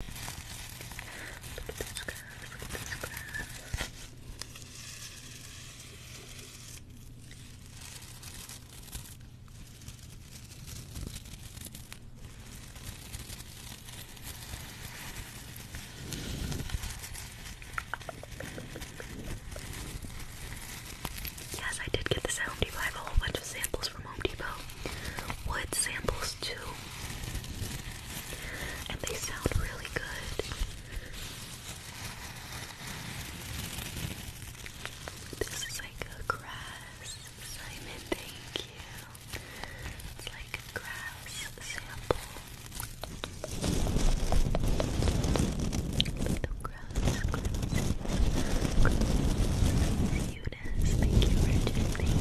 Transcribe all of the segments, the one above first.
Look at Yes, I did get this at Home Depot. I have a whole bunch of samples from Home Depot. Wood samples books and they sound really good. This is like a grass, Simon. Thank you. It's like a grass sample. Little grass. Thank you, Thank you. Thank you for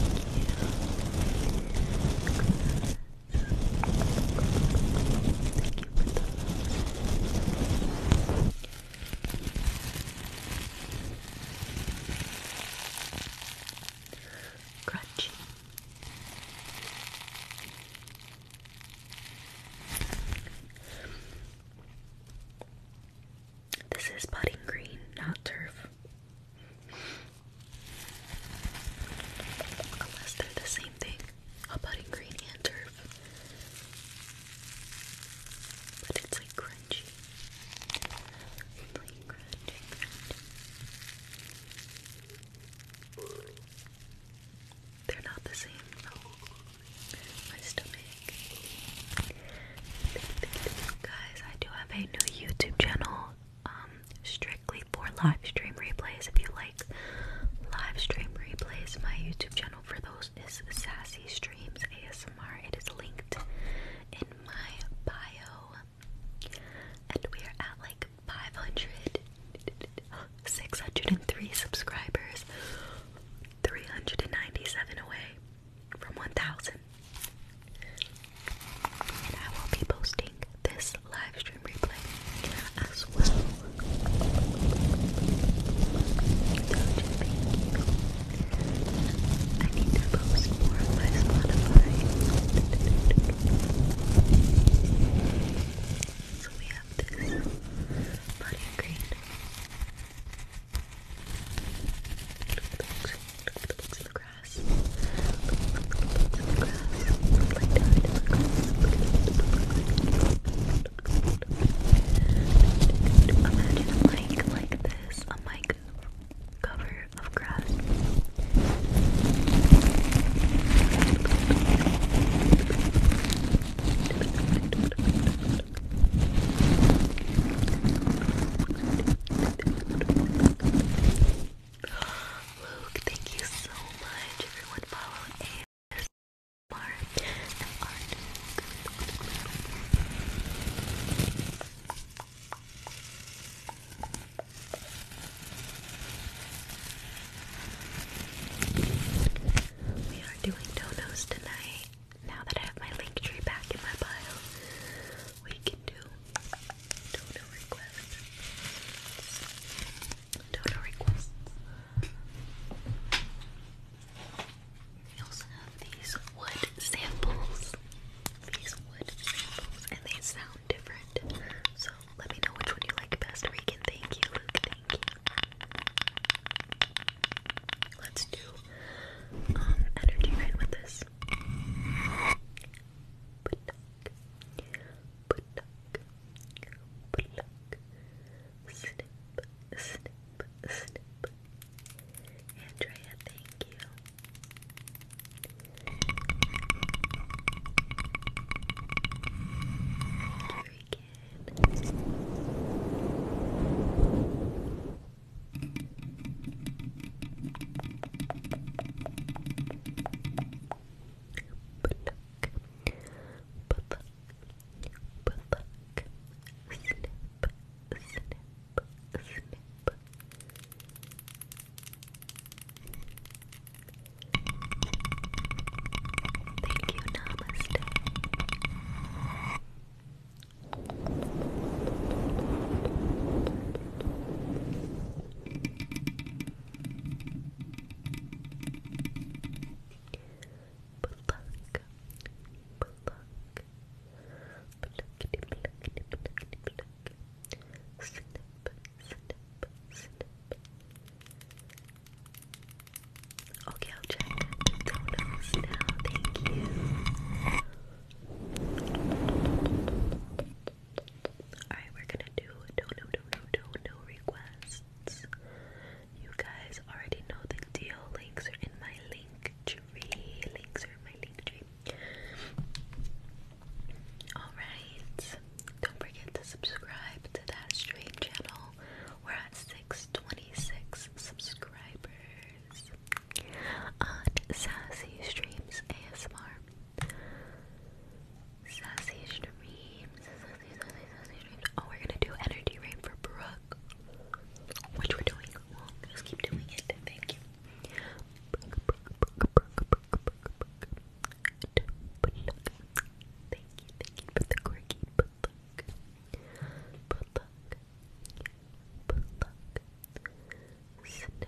This is putting green, not turf. Unless they're the same thing. How about in and turf? But it's like crunchy. It's crunchy, They're not the same My stomach. Guys, I do have a new YouTube channel. Um, strictly for live stream replays. If you like live stream replays, my YouTube channel for those is Sassy Streams ASMR. It is linked in my bio, and we are at like 500, 603 subscribers, 397 away from 1000. And I will be posting this live stream replay as well. I need to post more on my Spotify. So we have this body green. Look at the box. in the crowd grass. Imagine a like this, a mic cover of grass. Luke, thank you so much. Everyone follow ASMR and Art. We are doing donuts tonight. Now that I have my link tree back in my bio, we can do donor requests. Donor requests. We also have these wood samples. These wood samples, and they sound different. So let me know which one you like best, Regan. Thank you, Luke. Thank you. Let's do um, energy rain with this pluck, pluck, pluck, snip, snip, snip. Andrea, thank you. Thank you Pluck, pluck, pluck, snip, snip, snip. Thank you, Namaste. Pluck, Pluck, pluck, pluckity, pluckity, pluckity, pluck. Snip, snip, snip. Okay, I'll check the donuts now. Thank you. Alright, we're gonna do no, no, no, no, no, no requests. You guys already know the deal. Links are in my link tree. Links are in my link tree. Alright, don't forget to subscribe to that stream channel. We're at 626 subscribers on Sassy Streams ASMR. Sassy streams. Oh, we're gonna do energy rain for Brooke. Which we doing. just keep doing it. Thank you. Brooke, Brooke, Brooke, Brooke, Brooke, Brooke, Brooke. Thank you, thank you for Snip.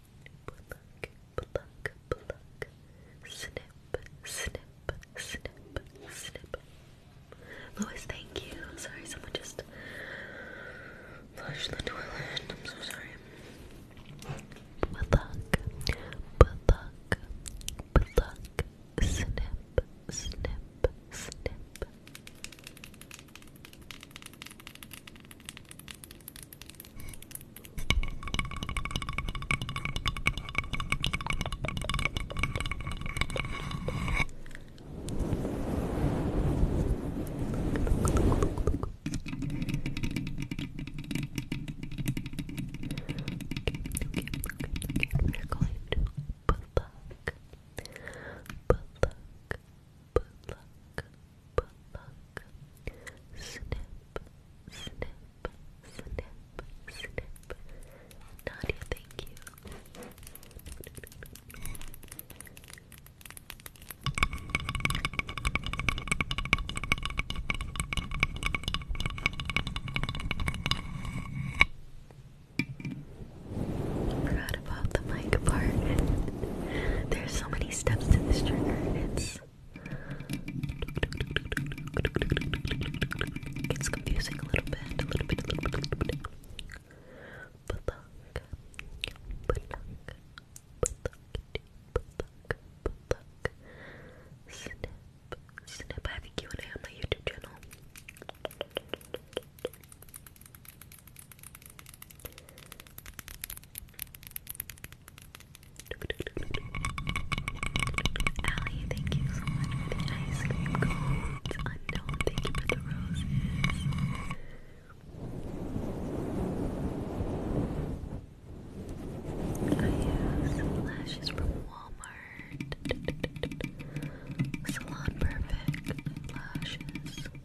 pluck, pluck, pluck, snip, snip, snip, snip. Louis, thank you. Sorry, someone just flushed the toilet. I'm so sorry. Pluck, pluck, pluck, snip, snip, snip. We're going to book, book, book, book, snip, snip, snip, snip. Nadia, thank you. Forgot about the mic part. There's so many steps to this journey. It's confusing a little bit, a little bit, Snip, snip. I have a Q&A on my YouTube channel. Allie, thank you so much for the ice cream cones. Unknown, thank you for the roses. I have lashes from Walmart. Salon Perfect lashes. Salon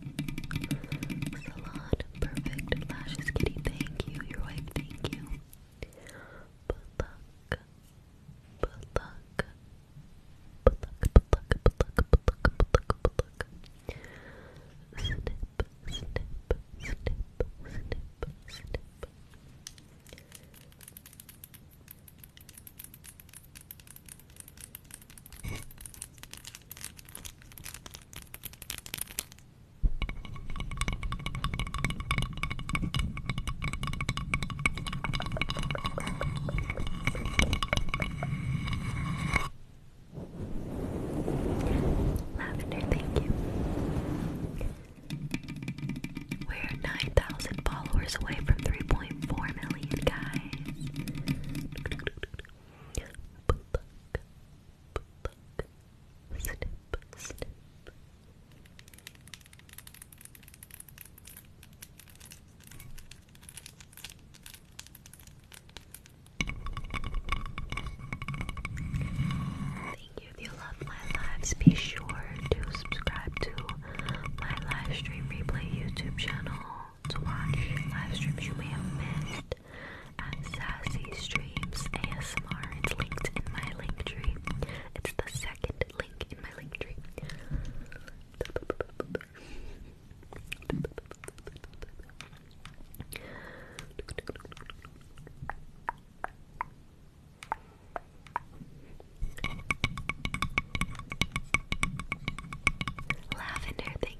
Perfect lashes, kitty. Thank you, your wife. Thank you. Pluck, pluck, pluck, pluck, pluck, pluck, pluck, pluck. Snip, snip, snip, snip, snip. Lavender, thank you. We're 9,000 followers away from 3.4 million, guys. Thank you if you my lives. Be sure to subscribe to my live stream replay YouTube channel to watch live streams you may have missed at Sassy Streams ASMR. It's linked in my link tree. It's the second link in my link tree. Lavender,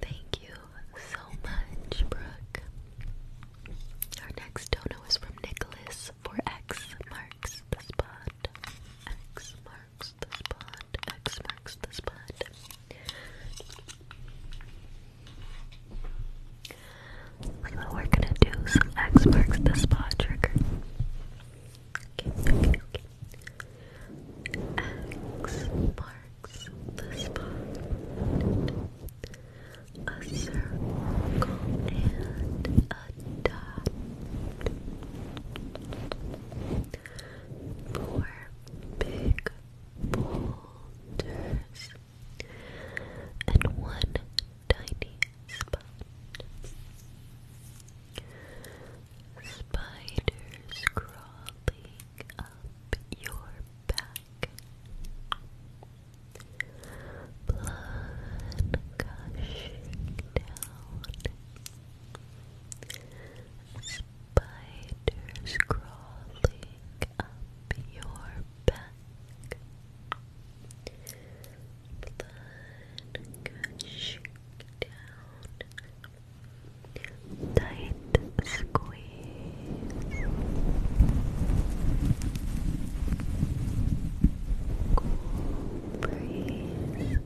Thank you so much, Brooke. Our next dono is from Nicholas for X marks the spot. X marks the spot. X marks the spot. we're gonna do some X marks the spot trigger. X marks the spot. A circle and a dot. Four big boulders and one tiny spot. Spiders crawling up your back. Blood gushing down. Spiders crawling up your back. Blood gushing down tight squeeze cool breeze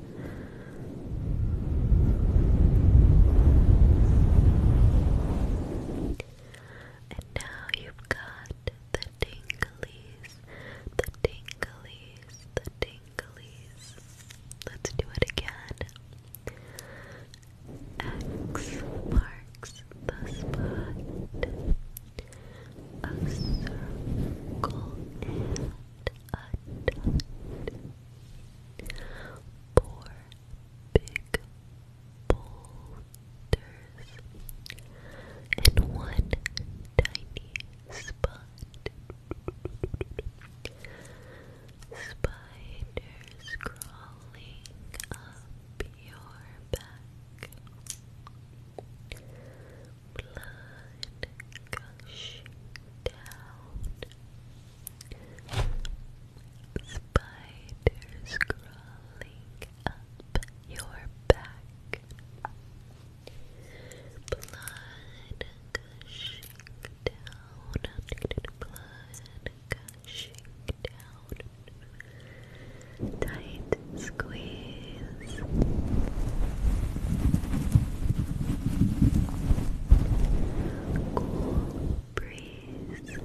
and now you've got the tinglies, the tinglies, the tinglies. Let's do it again. X marks the spot. A circle and a dot. Four big boulders and one tiny spot. Spiders crawling up your back. Blood gushing down. Spiders crawling up your back. Blood gushing down blood gushing down. Tight squeeze. Cool breeze.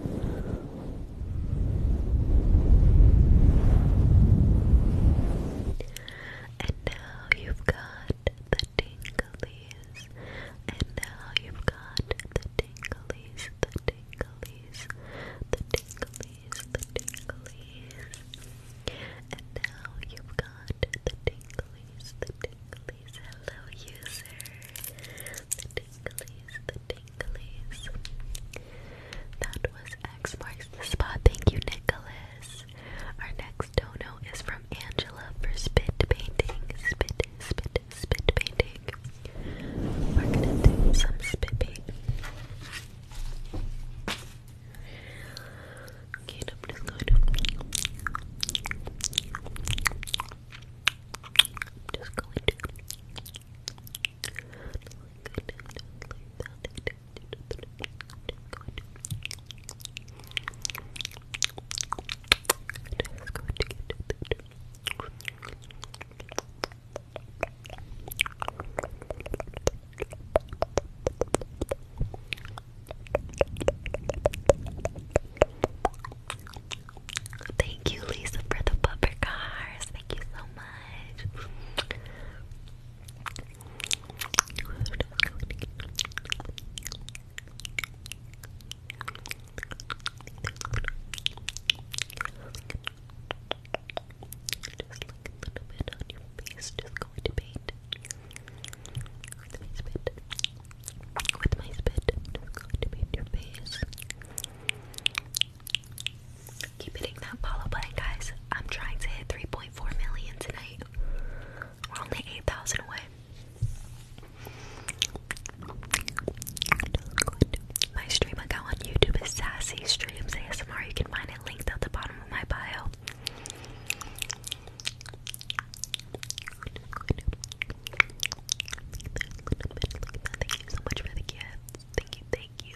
And now you've got the tinglies. And now you've got the tinglies, the tinglies, the tinglies, the tinglies. And now you've got the tinglies, the tinglies. Hello, user. The tinglies, the tinglies. That was X marks the spot. Thank you, Nicholas. Our next dono is from Angela for spit painting. Spit, spit, spit, painting. We're gonna do some spit painting. Okay, I'm just going to. i just going to. Like Thank you, Lisa, for the bumper cars. Thank you so much bit on your face, just going to paint my spit. With my spit, just going to paint your face. Keep hitting that follow button, guys. I'm trying to hit 3.4 million tonight. We're only 8,000 away. My stream account on YouTube is Sassy Streams ASMR. You can find it linked at the bottom of my bio. Thank you so much for the gifts. Thank you, thank you.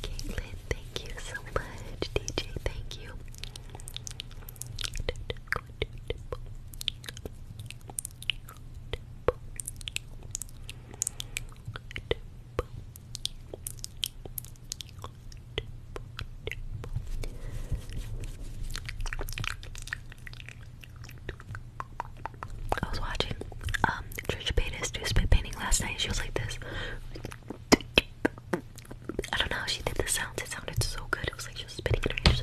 Caitlin, thank you so much. DJ, thank you. I was watching um Trisha Paytas do spit painting last night. She was like this. I don't know how she did the sound. It sounded so good. It was like she was spitting in her ears.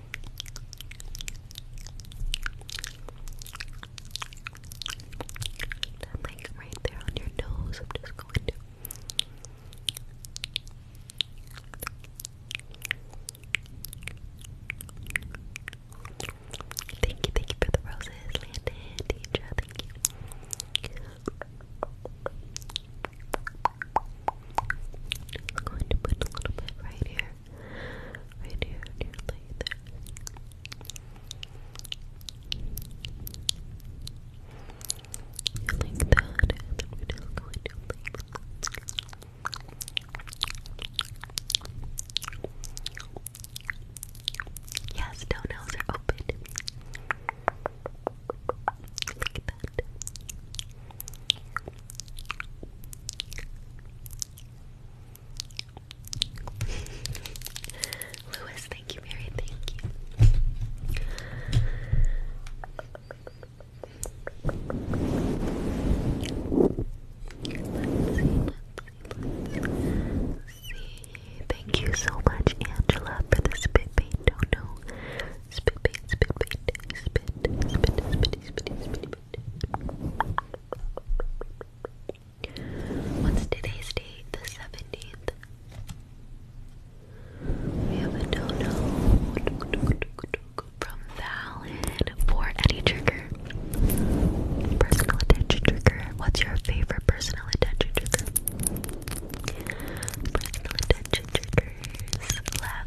That like right there on your nose. I'm just going to Thank you, thank you for the roses, Landon, Deidre, thank you. i going to put a little bit right here right here on your leg there. Like that, and then we're just going to leave Yes, toenails are open. Like that. Lewis, thank you, Mary, thank you. Thank you so much, Angela, for the spit bait. Don't know. Oh, spit bait, spit bait, spit, spit, spit, spit, spit, spit, spit. What's today's date? The 17th. We have a dono from Valid for any trigger. Personal attention trigger. What's your favorite personal attention trigger? Personal attention triggers. Love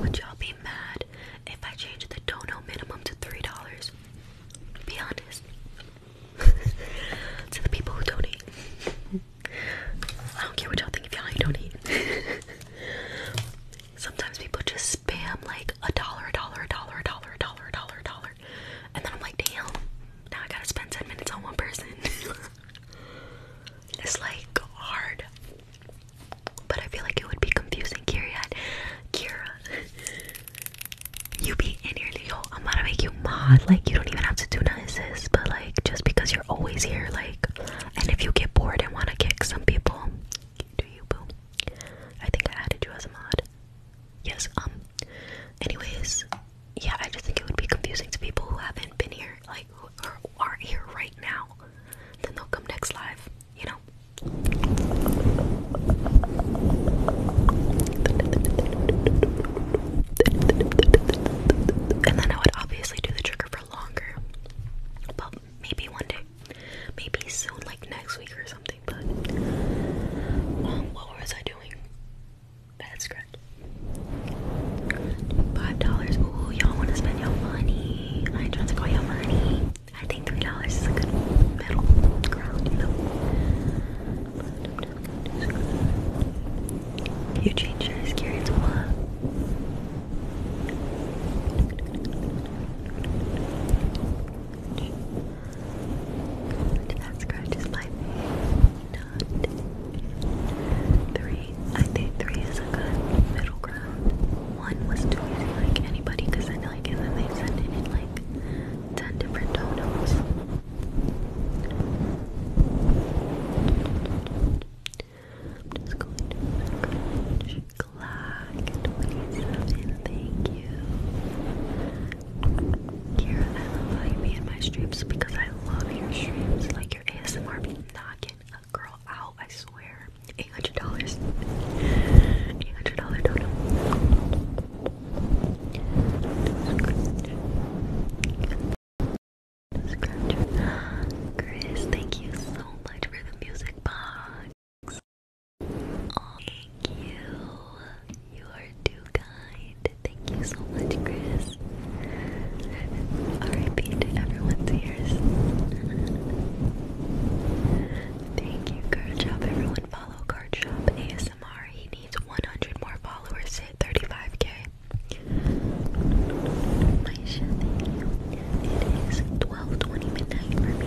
Would y'all be mad if I changed the dono minimum to three dollars? Be honest. to the people who donate. I don't care what y'all think if y'all ain't donate. Sometimes people just spam like a dollar, a dollar, a dollar, a dollar, a dollar, a dollar, a dollar. And then I'm like, damn, now I gotta spend 10 minutes on one person. It's like hard. But I feel like it would be confusing, Kira. Kira, you be in here, yo. I'm gonna make you mod. Like you don't even have to do nothing of but like just because you're always here, like, and if you get bored and wanna kick some people, do you, boo? I think I added you as a mod. Yes. Um. Anyways, yeah, I just think it would be confusing to people who haven't been here, like who are, here right now. Then they'll come next live, you know. And then I would obviously do the trigger for longer, but maybe one day, maybe soon, like next week or something. But um, what was I doing? Bad scratch. Five dollars. Ooh, y'all want to spend you money? I ain't trying to call you money. I think three dollars is a good middle ground, you know. You changed your scary to what? That scratch is my Three. I think three is a good middle ground. One was too easy, like anybody could send like, and then they sent it in like ten different totems. I'm just going to crunch. 27, thank you. Kira, I love how you made my streams because I love your streams. Like your ASMR be knocking a girl out, I swear. $800. $800 total. Chris, thank you so much for the music box. Oh, thank you. You are too Thank you so much, Chris. R.I.P. to everyone's ears. Thank you, Card Shop. Everyone follow Card Shop ASMR. He needs 100 more followers to hit 35k. Maisha, thank It is 12.20 midnight for me.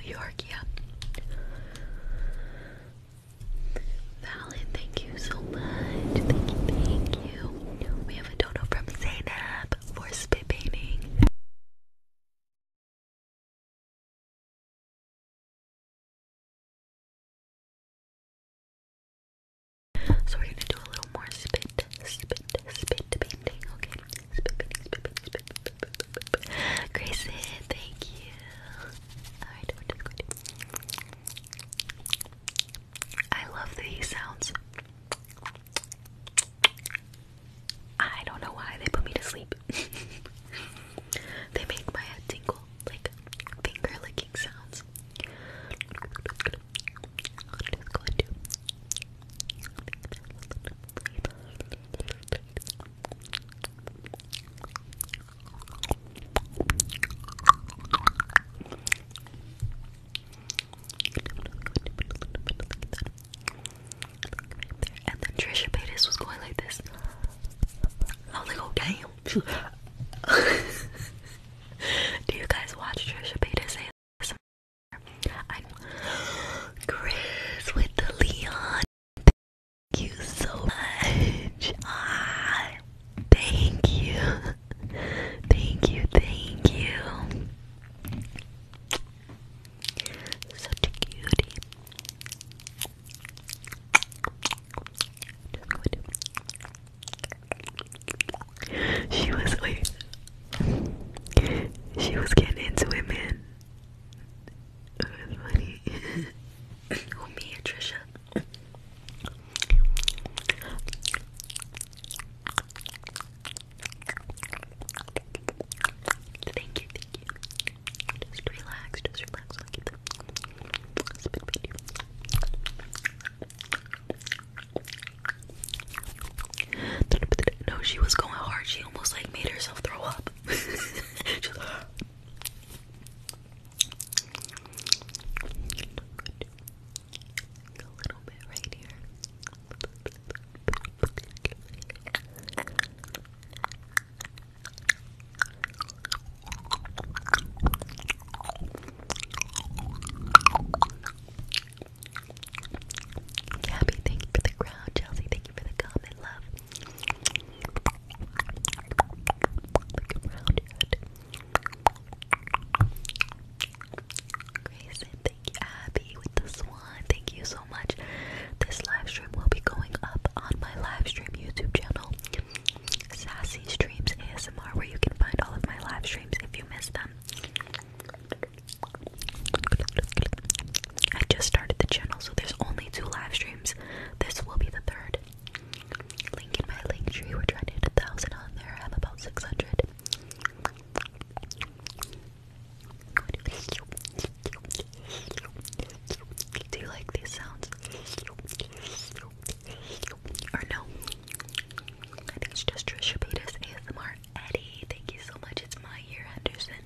New York, yeah. Valen, thank you so much. Thank you, We have a dono from Zainab for spit painting. So we're gonna do a little more spit, spit, spit painting, okay? Grayson, thank you. I love these sounds. I don't know why they put me to sleep. they make my head tingle, like finger licking sounds. And then Trisha Paytas was going like this. I was like, oh damn. Do you guys watch Trisha Paytas Chris with the Leon. Thank you so much. Ah, thank you. Thank you, thank you. Such a cutie. She was she was getting into it, man oh, me and Trisha. Thank you, thank you. Just relax, just relax. I'll get the spit you. No, she was going hard. She almost like made herself throw up. a little bit right here. Gabby, thank you for the crown. Chelsea, thank you for the comment, love. Grayson, thank you. Abby with the swan, thank you so much. This live stream will be going up on my live stream YouTube channel, Sassy Streams ASMR, where you can find all of my live streams if you miss them. I just started the channel, so there's only two live streams. This will be the third. Link in my link tree. We're trying to hit a thousand on there. i have about 600. Do you like these sounds? Or no? I think it's just Trisha Paytas ASMR. Eddie, thank you so much. It's my year, Henderson.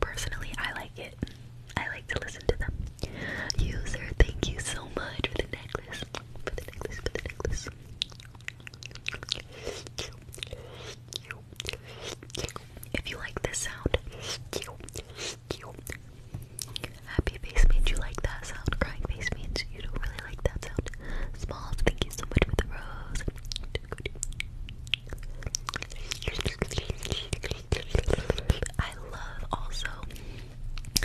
Personally, I like it. I like to listen to them. User, thank you so much for the necklace. For the necklace, for the necklace. If you like this sound, happy face means you like that sound. Crying face means you don't really like that sound. Smalls, thank you so much for the rose. I love also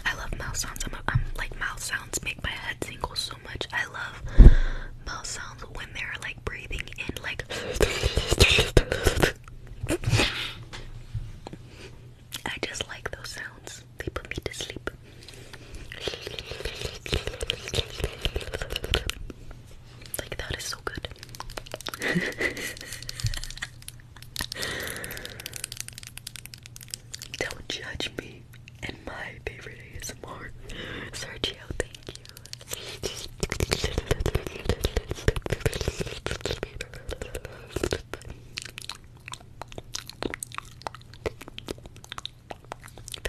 I love mouth sounds. I'm, like mouth sounds make my head tingle so much. I love mouth sounds when they're like breathing in like I just like those sounds. They put me to sleep. Like that is so good. Don't judge me and my favorite ASMR. Sergio, thank you. I feel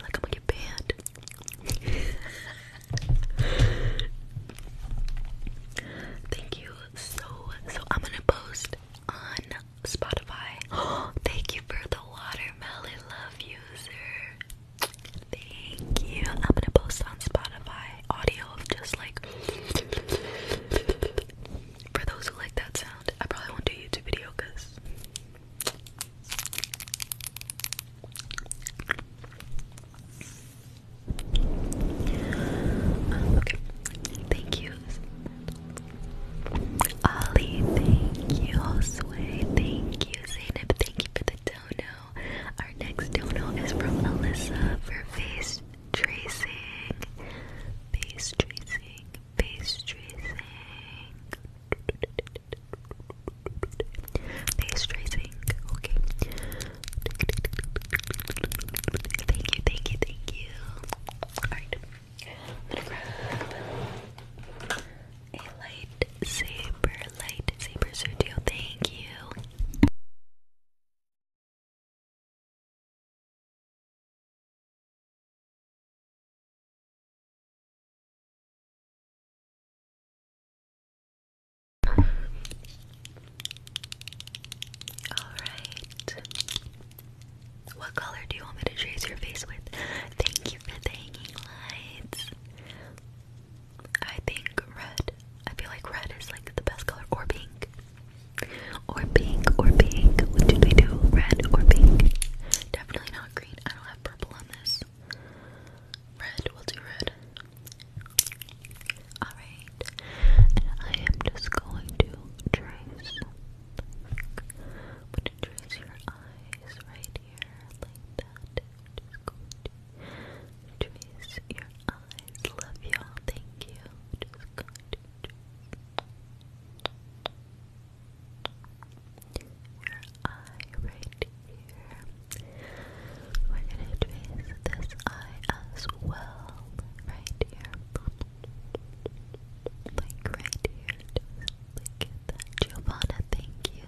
like I'm gonna get banned. Thank you so so I'm gonna post on Spotify. thank you for the watermelon love user. Thank you. I'm gonna post on Spotify audio of just like for those who like that sound. I probably won't do YouTube video because okay. Thank you. Ollie, thank you. Josue, thank you. Zainab, thank you for the dono. Our next dono is from Alyssa for face tracing. Face tracing. Face tracing. Face tracing, okay. Thank you, thank you, thank you. Alright. I'm gonna grab a lightsaber, lightsaber Sergio, thank you. Alright. What color do you want me to trace your face with? Thank you for the hanging lights. I think red. I feel like red is like the best color. Or pink. Or pink. Or pink. What did we do? Red or pink? Definitely not green. I don't have purple on this. Red, we'll do red. Alright. And I am just going to trace. I'm going to trace your eyes right here, like that. just going to trace your eyes. Love y'all. Thank you. Just going to trace your eye right here. We're gonna trace this eye as well, right here. Like right here, like that. Giovanna, thank you.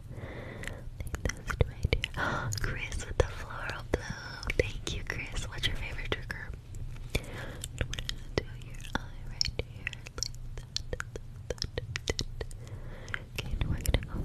Like this right here. Chris with the floral blue. Thank you, Chris. What's your favorite trigger? we're gonna do your eye right here, like that. that, that, Okay, we're gonna go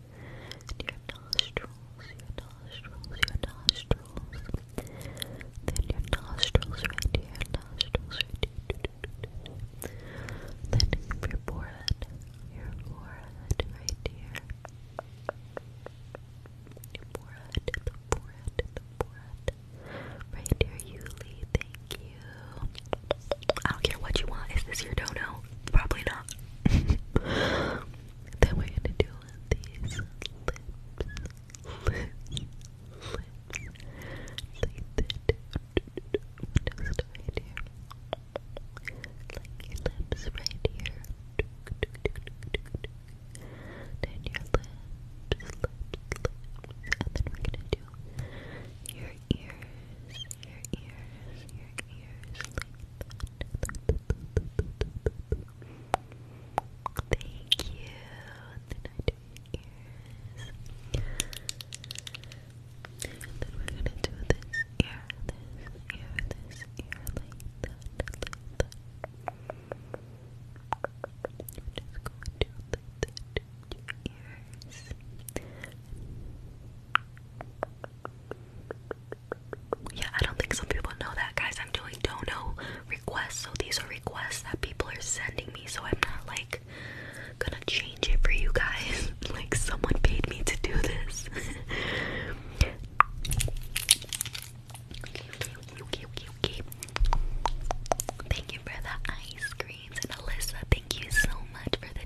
your nostrils, your nostrils, your nostrils. Then your nostrils right here, nostrils right here. Then your forehead, your forehead right here. Your forehead, the forehead, the forehead. Right here, Yuli, thank you. I don't care what you want. Is this your dono? Probably not. Then we're gonna do these lips, lips, lips. Like right here. Like your lips right here. Then your lips, lips, lips. And then we're gonna do your ears, your ears, your ears, like Thank you. Then I do ears. then we're gonna do this ear, this ear, this ear, like that, that. We're just going to like that, do ears. Yeah, I don't think some people know that, guys. I'm doing dono requests, so these are requests that people are sending me, so I'm not like gonna change it for you guys. like, someone paid me to do this. Thank you for ice creams, and Alyssa, thank you so much for the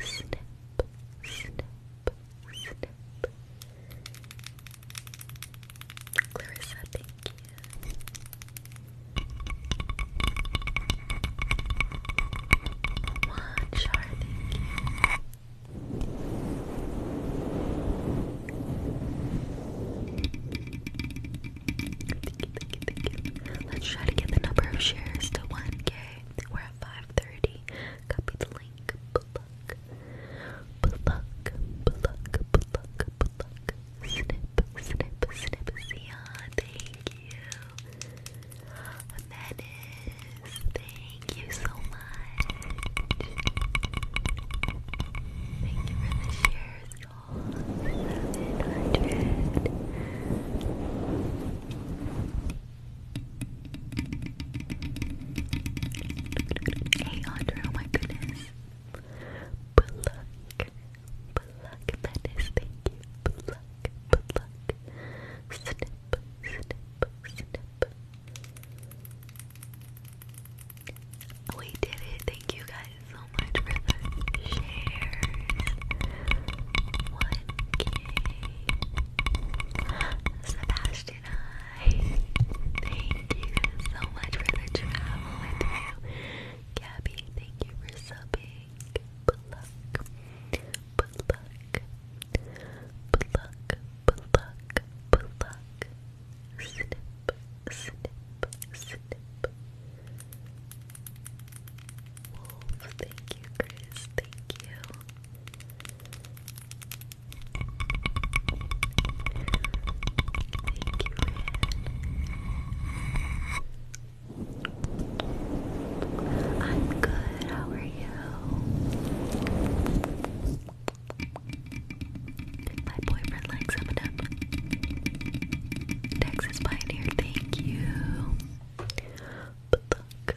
snip, snip, snip. Clarissa, thank you. One char, thank Let's try to get the number of shares to 1k. 5.30. Copy the link. Pluck. Pluck. Pluck. Pluck. Pluck. Snip. Snip. Snip. See ya. Thank you. Menace. Thank you so much. Thank you for the shares, you 700. Hey Audra, oh my goodness. Pluck. Pluck, that is, thank you. Pluck, pluck. Snip, snip, snip. We oh, did it. Thank you guys so much for the shares. 1k. Sebastian I thank you so much for the travel with you. Gabby, thank you for subbing. Pluck, pluck, pluck, pluck, pluck. Snip, snip, snip. Wolf, thank you, Chris. Thank you. I'm good. How are you? My boyfriend likes some of Texas Pioneer, thank you. But look,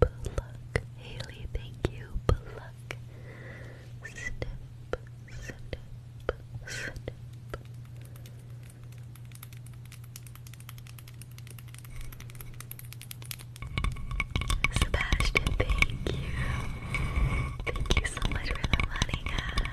pluck. Haley, thank you. Pluck. Snip, snip, snip. Sebastian, thank you. Thank you so much for the money, guys.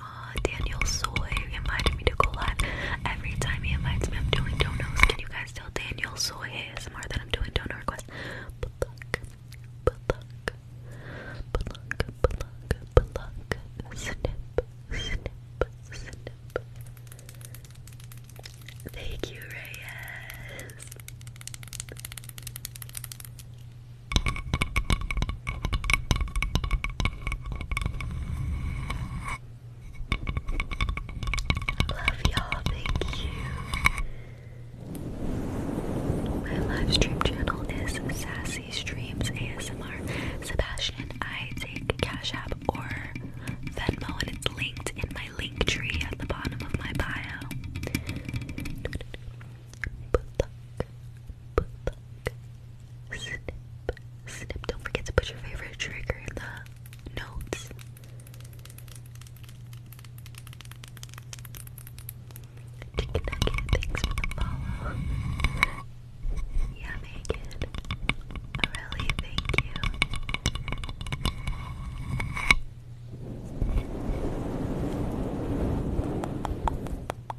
Uh, Daniel Soy invited me to go Every time he invites me, I'm doing donos. Can you guys tell Daniel Soy ASMR that I'm doing donor requests? Snip, snip, snip. Thank you, Reyes. Love y'all, thank you. My live channel is Sassy Streams ASMR. Sebastian, I take Cash App or Venmo, and it's linked in my link tree at the bottom of my bio snip, snip. Don't forget to put your favorite trigger in the notes. Chicken nugget, for the follow. Yeah, Megan. Really, thank you.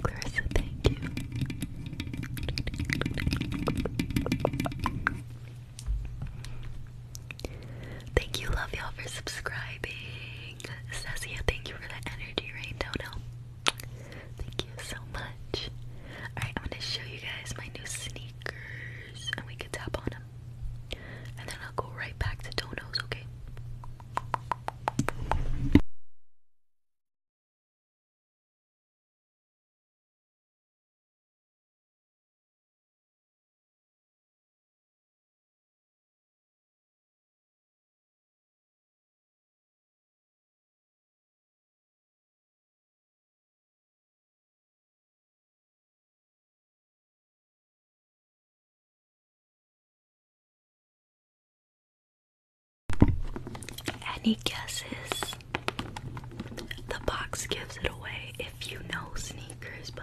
Clarissa, thank you. Thank you, love y'all, for subscribing. Cessia, thank you for the energy rain. thank you so much. Alright, I'm gonna show you guys my new sneakers, and we can tap on and then I'll go right back to Dono's, okay? Any guesses? The box gives it away if you know sneakers, but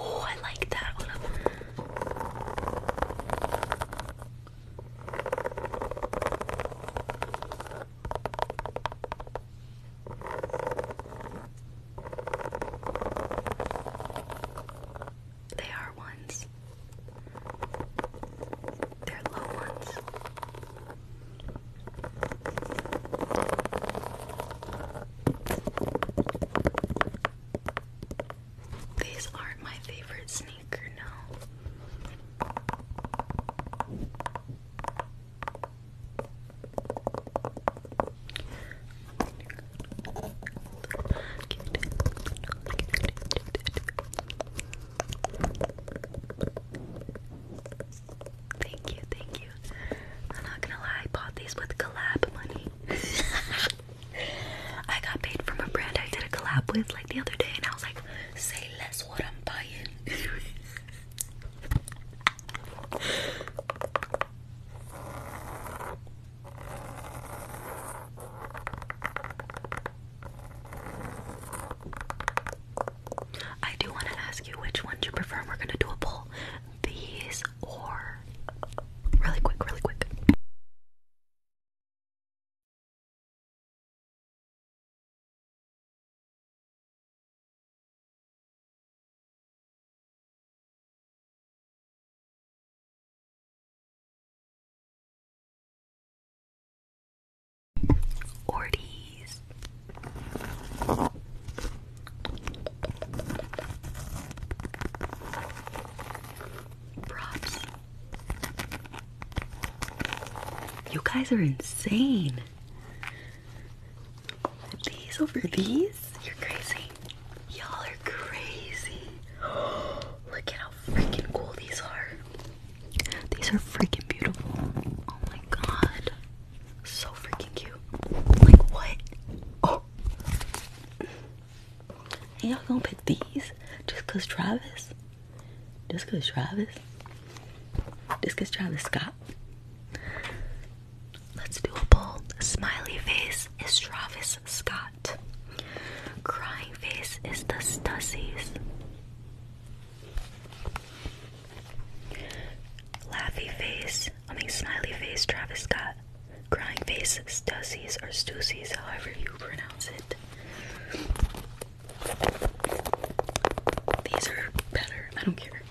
Oh, I like that. Hold up. They are ones. They're low ones. These aren't my favorite sneaker, no. Thank you, thank you. I'm not gonna lie, bought these with collab money. I got paid from a brand I did a collab with like the other day, and I was like, say less what I'm buying. I do want to ask you which one you prefer. We're going to do a poll. These or. Really quick, really quick. Ortiz. Props. You guys are insane. These over these? You're crazy. Y'all are crazy. Look at how freaking cool these are. These are freaking beautiful. Oh my god. So freaking cute. Like what? Oh. y'all gonna pick these just 'cause Travis? Just 'cause Travis? Just 'cause Travis Scott? Let's do a poll. Smiley face is Travis Scott. Crying face is the Stussies. Laughy face, I mean smiley face, Travis Scott. Crying face, Stussies or Stussies, however you pronounce it. These are better. I don't care.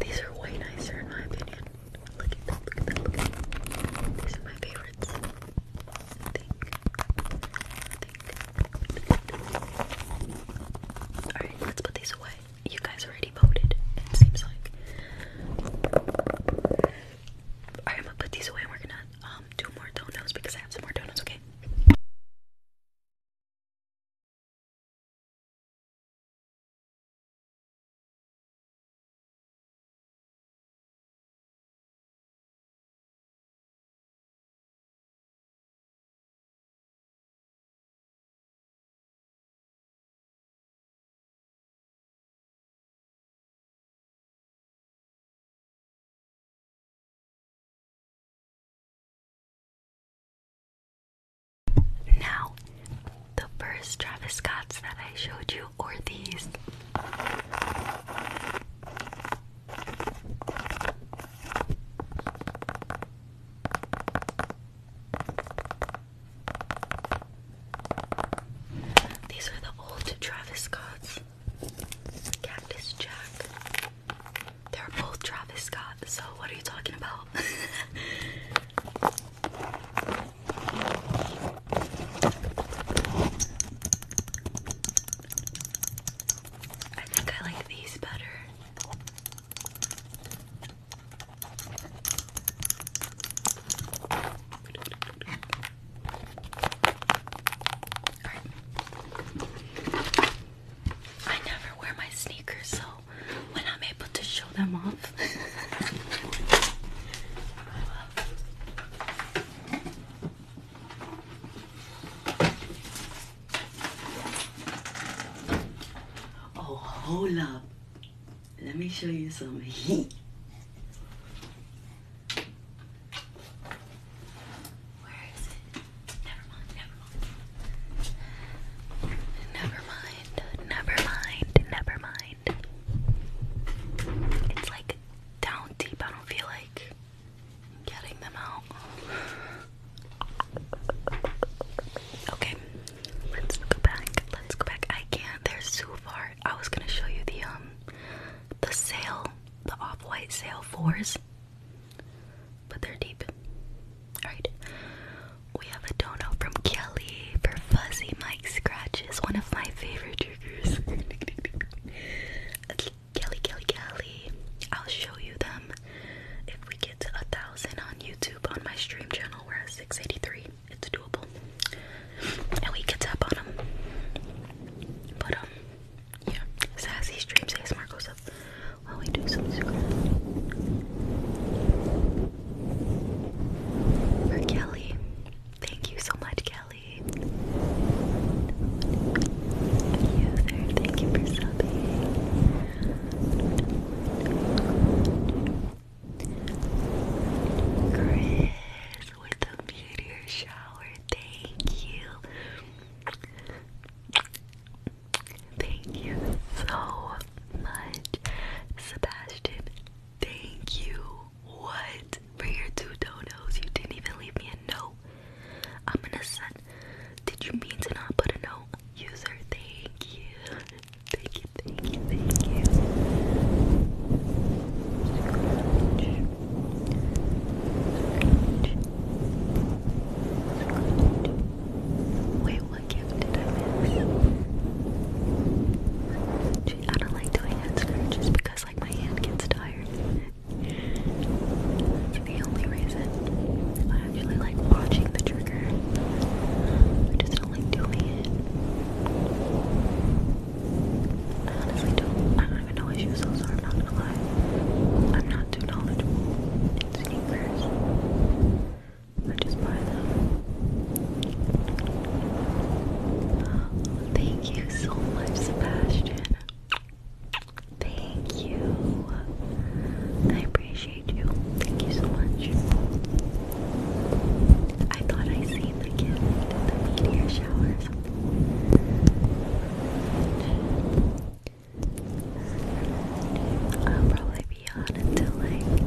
These are way nicer in my opinion. Look at that, look at that, look at that. These are my favorite. Alright, let's put these away. You guys already voted, it seems like. I'm gonna put these away and we're gonna um do more donuts because I have some more donuts, okay? Now, the first Travis Scott's that I showed you or these. These are the old Travis Scott's Cactus Jack. They're both Travis Scott, so what are you talking about? I think I like these better. I never wear my sneakers, so when I'm able to show them off, Oh, hold up. Let me show you some heat. Never mind, never mind, never mind. It's like down deep. I don't feel like getting them out. Okay, let's go back. Let's go back. I can't. They're so far. I was gonna show you the um the sale, the off-white sale fours, but they're deep. All right. We have a donut from Kelly for Fuzzy, my Scratch is one of my favorite triggers. Kelly, Kelly, Kelly. I'll show you them if we get to a thousand on YouTube on my stream channel. We're at 683. It's doable, and we get up on them. But um, yeah, sassy streams. Hey, Marco, up while we do some scratch. For Kelly, Thank you so much, Kelly. User, thank you for subbing. Chris with the meteor shower, thank you. Thank you so much, Sebastian. Thank you what? For your two dodos, you didn't even leave me a note. I'm gonna send. Did you mean to not put a note? User, thank you. Thank you, thank you, thank you. Wait, what gift did I miss? I don't like doing that, scratches because like my hand gets tired. the only reason. I actually like watching the trigger. I just don't like doing it. I honestly don't I don't even know what shoes those are, i not gonna lie. I'm not too knowledgeable in sneakers. I just buy them. Thank you so much, Sebastian. Thank you. I appreciate you. Thank you so much. I thought I seen the gift, the meteor shower I'll probably be on until like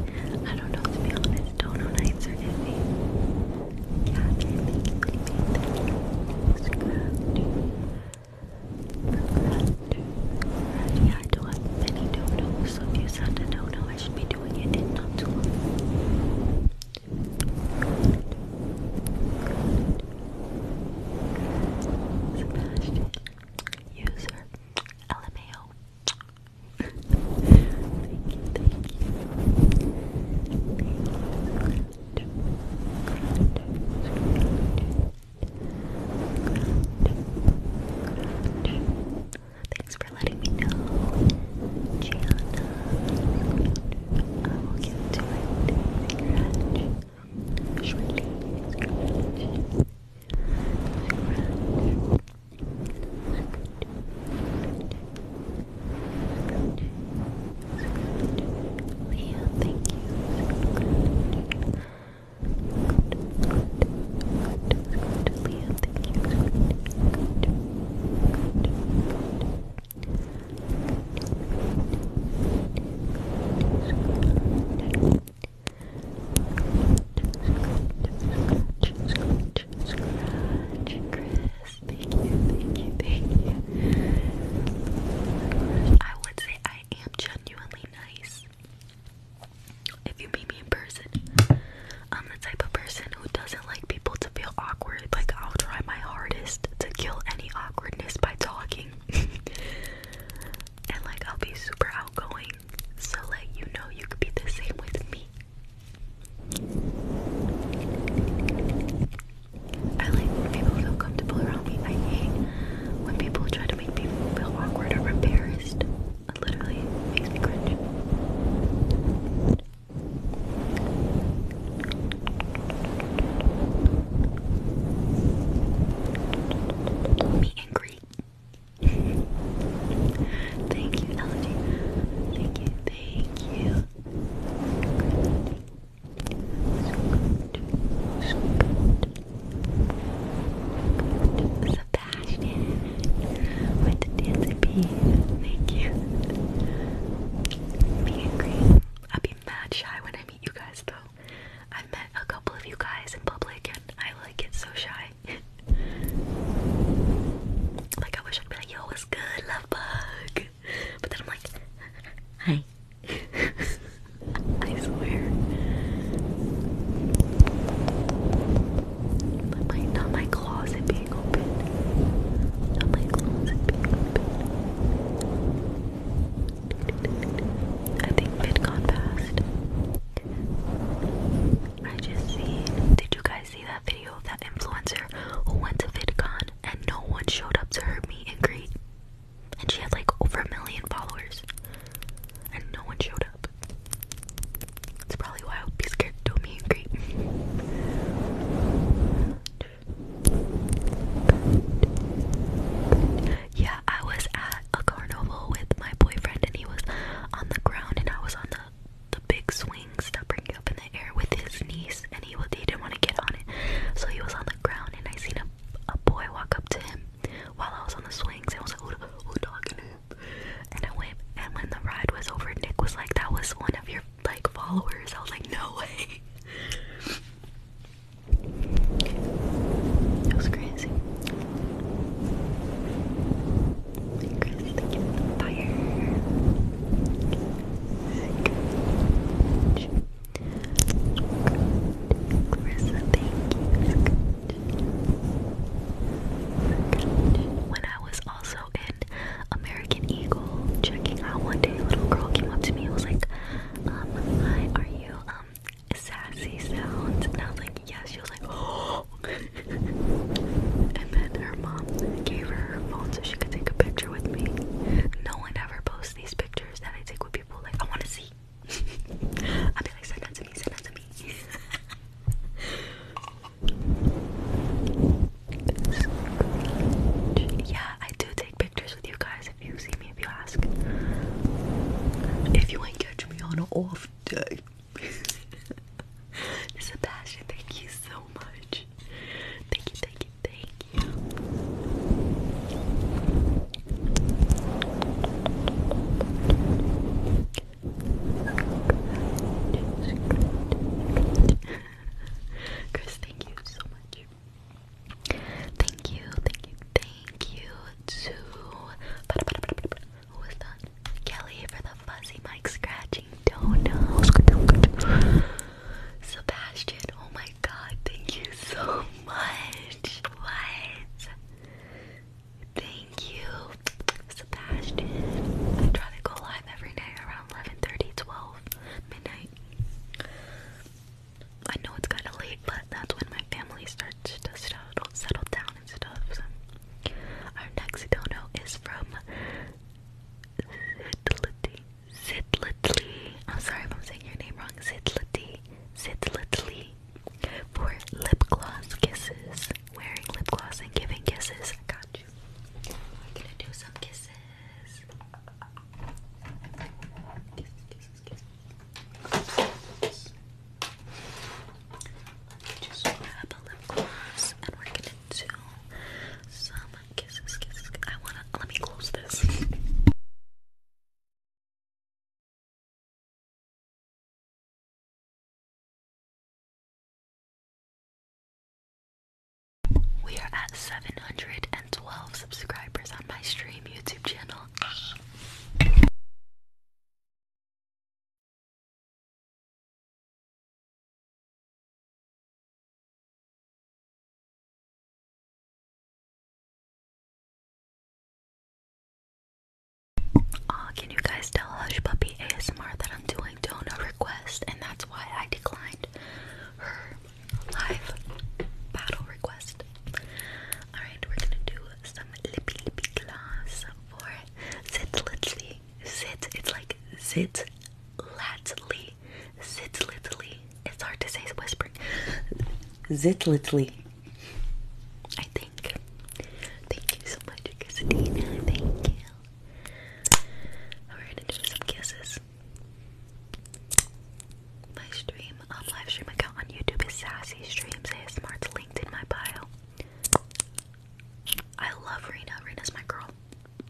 I don't know to be honest. Don't know nights are busy. Yeah, I do have many dodos, so if you sound a dodo, I should be doing it in not too long. user, LMAO. Thanks for letting me know, Gianna. I will get to it. Leah, thank you. Leah, thank you. Scratch, scratch, scratch, scratch, scratch, Thank you, thank you, thank you. I would say I am genuinely nice. If you meet me in person, I'm the type of person who doesn't like people to feel awkward. Like, I'll try my hardest to kill any awkwardness by talking. and, like, I'll be super outgoing. So, like, you know, you could be the same with me. I like when people feel comfortable around me. I hate when people try to make people feel awkward or embarrassed. It literally makes me cringe. Meet and greet. thank you, Elegy. Thank you, thank you, good. Sebastian with the dancing bee. Thank you. Me and I'll be mad shy when I meet you guys though. i met a couple of you guys in public and I like get so shy. like I wish I'd be like yo, what's good, love bug? But then I'm like, hi. I swear. not my closet being open. Not my closet being open. I think VidCon passed. I just see. Did you guys? I see that video of that influencer who went to VidCon and no one showed up to her meet and greet? And she had like over a million followers. And no one showed up. That's probably why I would be scared to meet and greet. Yeah, I was at a carnival with my boyfriend and he was on the ground and I was on the the big swings that bring up in the air with his niece, and he, was, he didn't want to get on it, so he was on the ground, and I seen a, a boy walk up to him while I was on the swings, and I was like, who, who talking to And I went, and when the ride was over, Nick was like, that was one of your, like, followers. I was like, no way. It was crazy. Chris, thank you for the When I was also in American Eagle checking out one day, a little girl came up to me and was like, um, are you, um, sassy sounds? I was like, yes. She was like, oh. her mom gave her her phone so she could take a picture with me. No one ever posts these pictures that I take with people. Like, I want to see. I'll be like, send that to me, send that to me. yeah, I do take pictures with you guys if you see me, if you ask. If you ain't catch me on an off day. Sebastian, thank you so much. Thank you, thank you, thank you. Chris, thank you so much. Thank you, thank you, thank you to who was that? Kelly for the fuzzy mic scratch watching Donos. Sebastian, oh my god, thank you so much. What? Thank you, Sebastian. I try to go live every night around 11:30, 12 midnight. I know it's kind of late, but that's when my family starts to settle, down and stuff. Our next dono is from Sidlity. Sidlitly. I'm sorry if I'm saying your name wrong. Sidlity. Sidlitly. For lip gloss kisses. Wearing lip gloss and giving kisses. I got you. We're gonna do some kisses. Kisses, kisses, kisses. just grab a lip gloss and we're gonna do some kisses, kisses. I wanna let me close this. We are at 712 subscribers on my stream YouTube channel can you guys tell Hush Puppy ASMR that I'm doing donor request and that's why I declined her live battle request? Alright, we're gonna do some lippy lippy gloss for Zitlitzly okay, zit, it's like zit latly, zit litly. It's hard to say whispering. Zit litly. I think. Thank you so much, Christina. Thank you. We're gonna do some kisses. My stream on live stream account on YouTube is Sassy Streams ASMR. It's linked in my bio. I love Rena. Rena's my girl.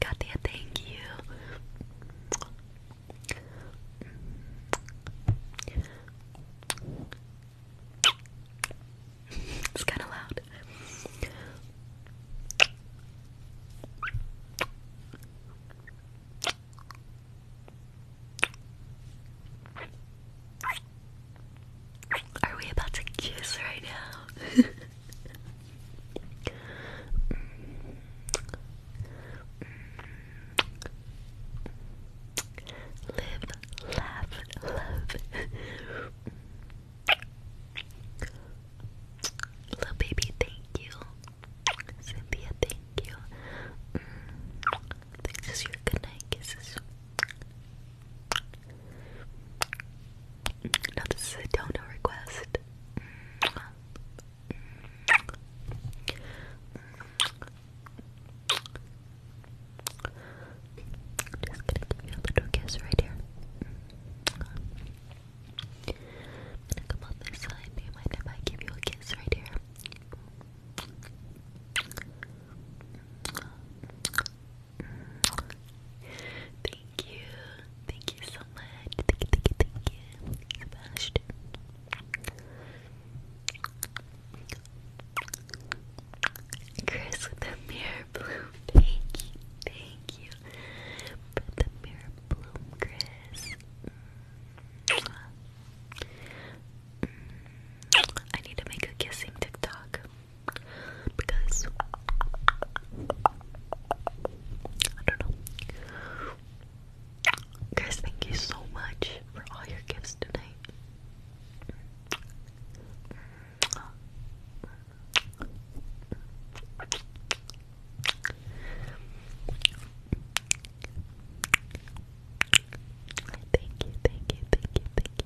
Katia, thank you. It's kind of loud. Are we about to kiss right now? Live, laugh, love. Little baby, thank you. Cynthia, thank you. Mm. Thanks your good night Now this is a dono request. just gonna give you a little kiss right here. I'm gonna come on this side, do you mind give you a kiss right here? Thank you. Thank you so much. Thank you, thank you, thank you. Sebastian. Chris the mirror bloom. Thank you. Thank you. the mirror bloom, Chris. Mm, I need to make a kissing TikTok because I don't know. Guys, thank you so much for all your gifts tonight. Thank you, thank you, thank you, thank you.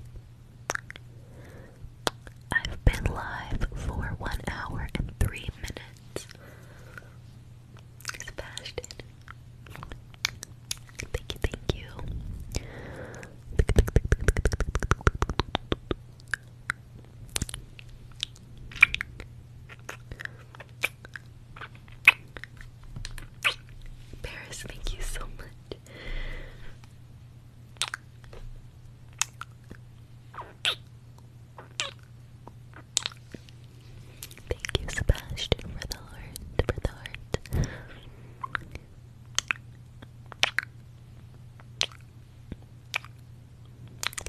I've been live for one hour and three minutes. Sebastian. Thank you, thank you. Paris, thank you so much. Thank you, Sebastian, for the heart, for the heart.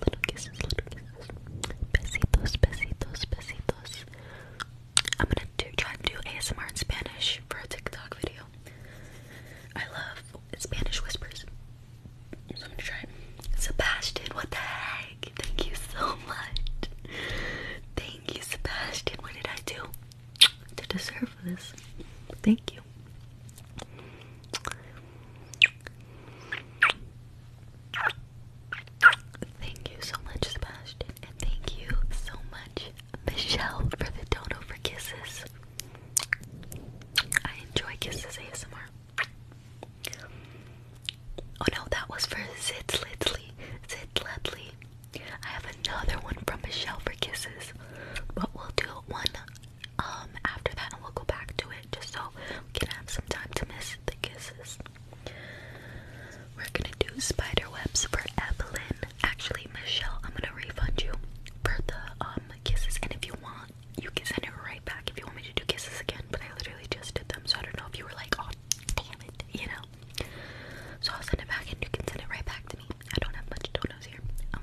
Little kisses, little kisses. Besitos, besitos, besitos. I'm gonna try to do ASMR in Spanish for a TikTok video. I love Spanish whispers. So I'm gonna try Sebastian, what the heck? Thank you so much. Thank you, Sebastian. What did I do to deserve this? Thank you. Thank you so much, Sebastian, and thank you so much, Michelle, for the dono for kisses. I enjoy kisses ASMR. Oh no, that was for Zitzlitzly. Zitzlitzly. I have another one from Michelle for kisses, but we'll do one um after that, and we'll go back to it just so we can have some time to miss the kisses. We're gonna do spider webs for Evelyn. Actually, Michelle, I'm gonna refund you for the um kisses, and if you want, you can send it right back if you want me to do kisses again. But I literally just did them, so I don't know if you were like, oh damn it, you know. So I'll send it back, and you can send it right back to me. I don't have much donuts here. Um,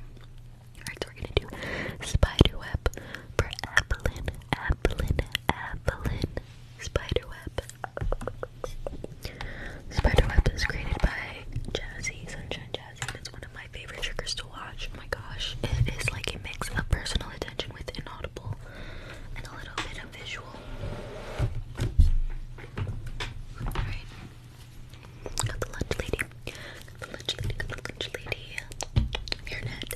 alright, so we're gonna do spider web for Evelyn, Evelyn, Evelyn, spider web, Spiderweb is created by Jazzy, Sunshine Jazzy, and it's one of my favorite triggers to watch. Oh my gosh, it is like a mix of personal attention with inaudible and a little bit of visual. Alright. Got the lunch lady. Got the lunch lady, got the lunch lady. Hairnet.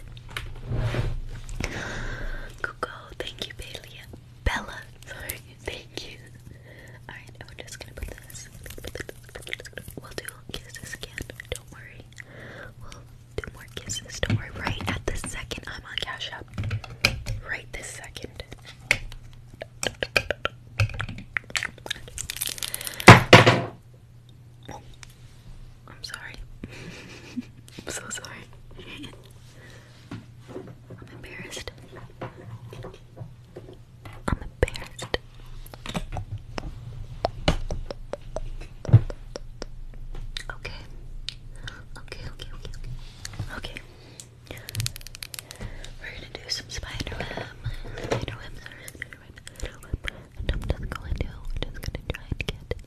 Kuka. Oh, thank you, Bailey. Bella. Sorry. Thank you. Alright, and we're just gonna put this. We'll do kisses again. Don't worry. We'll do more kisses. Don't worry. Right at the second I'm on Cash App. Right this second. I'm sorry. I'm so sorry. I'm embarrassed. I'm embarrassed. Okay. Okay, okay, okay, okay. We're gonna do some spider web. Spider web, I'm just going to, I'm just gonna try and get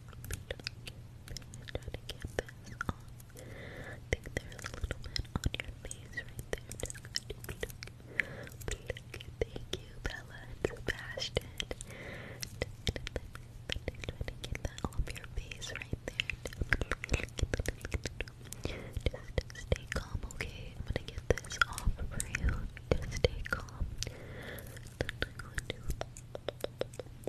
to get this off. I think there's a little bit on your face right there. Thank you, Bella and Sebastian. Just gonna get that off your face right there. Just stay calm, okay? I'm gonna get this off for you. Just stay calm.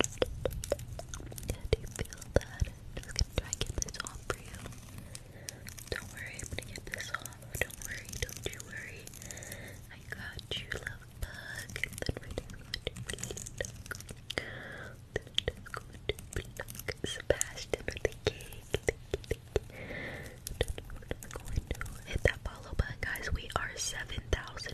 do you feel that? i get this off for you. Don't worry, I'm gonna get this off. Don't worry, don't you worry. I got you, love bug. Sebastian the cake. hit that follow button, guys. We are 7,000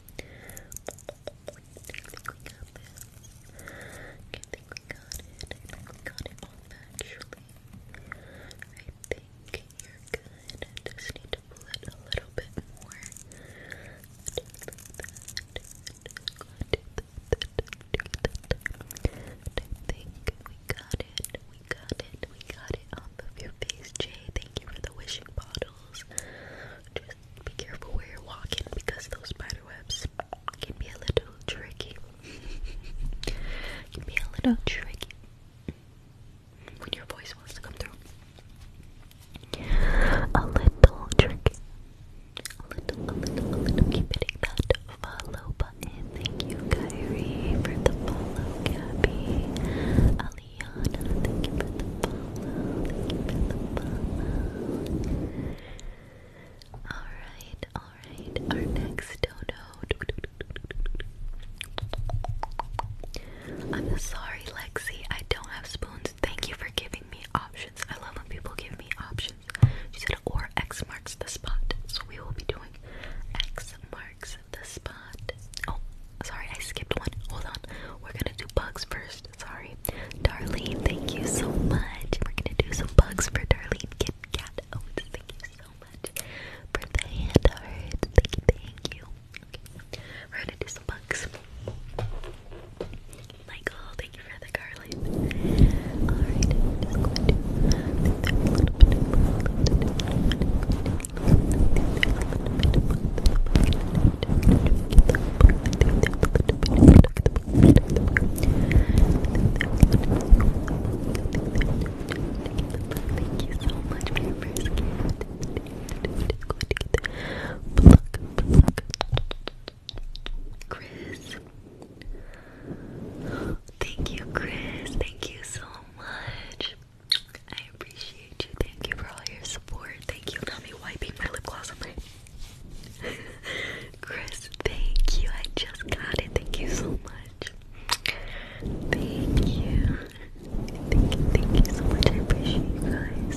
I think we got it. I think we got it all actually. I think you're good. just need to pull it a little bit more. I think we got it. We got it. We got it off of your face, Jay. Thank you for the wishing bottle. Just be careful where you're walking because those spider webs can be a little tricky. can be a little tricky when your voice wants to come through. A little tricky. A little, a little, a little. Keep hitting that follow button. Thank you, Kyrie, for the follow, Gabby. Alright, alright. Our next dodo. I'm sorry, Lexi. I don't have spoons. Thank you for giving me options. I love when people give me options. She said, or X marks the spot. So we will be doing X marks the spot. Oh, sorry, I skipped one. Hold on. We're gonna do bugs first. Sorry. Darlene, thank you so much. We're gonna do some bugs for Darlene Kit Kat. Oh, thank you so much for the hand Thank you, We're gonna do some bugs. Michael, thank you for the garlic. Alright, Thank you so much for your first gift. Chris. Thank you, Chris. Thank you so much. I appreciate you. Thank you for all your support. Thank you. for Not me wiping my lip gloss on my Chris, thank you. I just got it. Thank you so much. Thank you. Thank you, thank you so much. I appreciate you guys.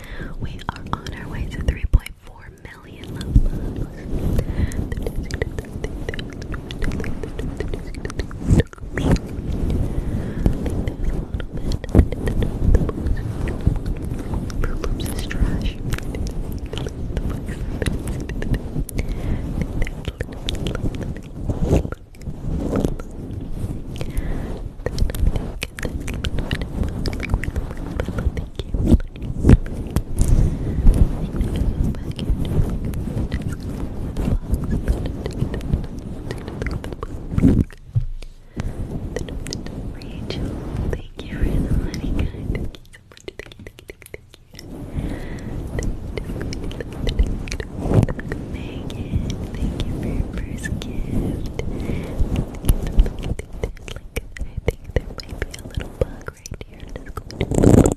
We are on our way to 3.4 million love loves. Rachel, thank you for the gift. I think there might be a little bug right here. I'm just going to pluck,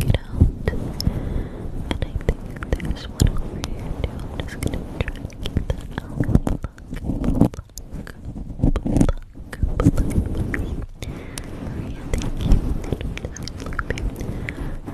it out. And I think there's one over here I'm just going to try and get that out. thank you.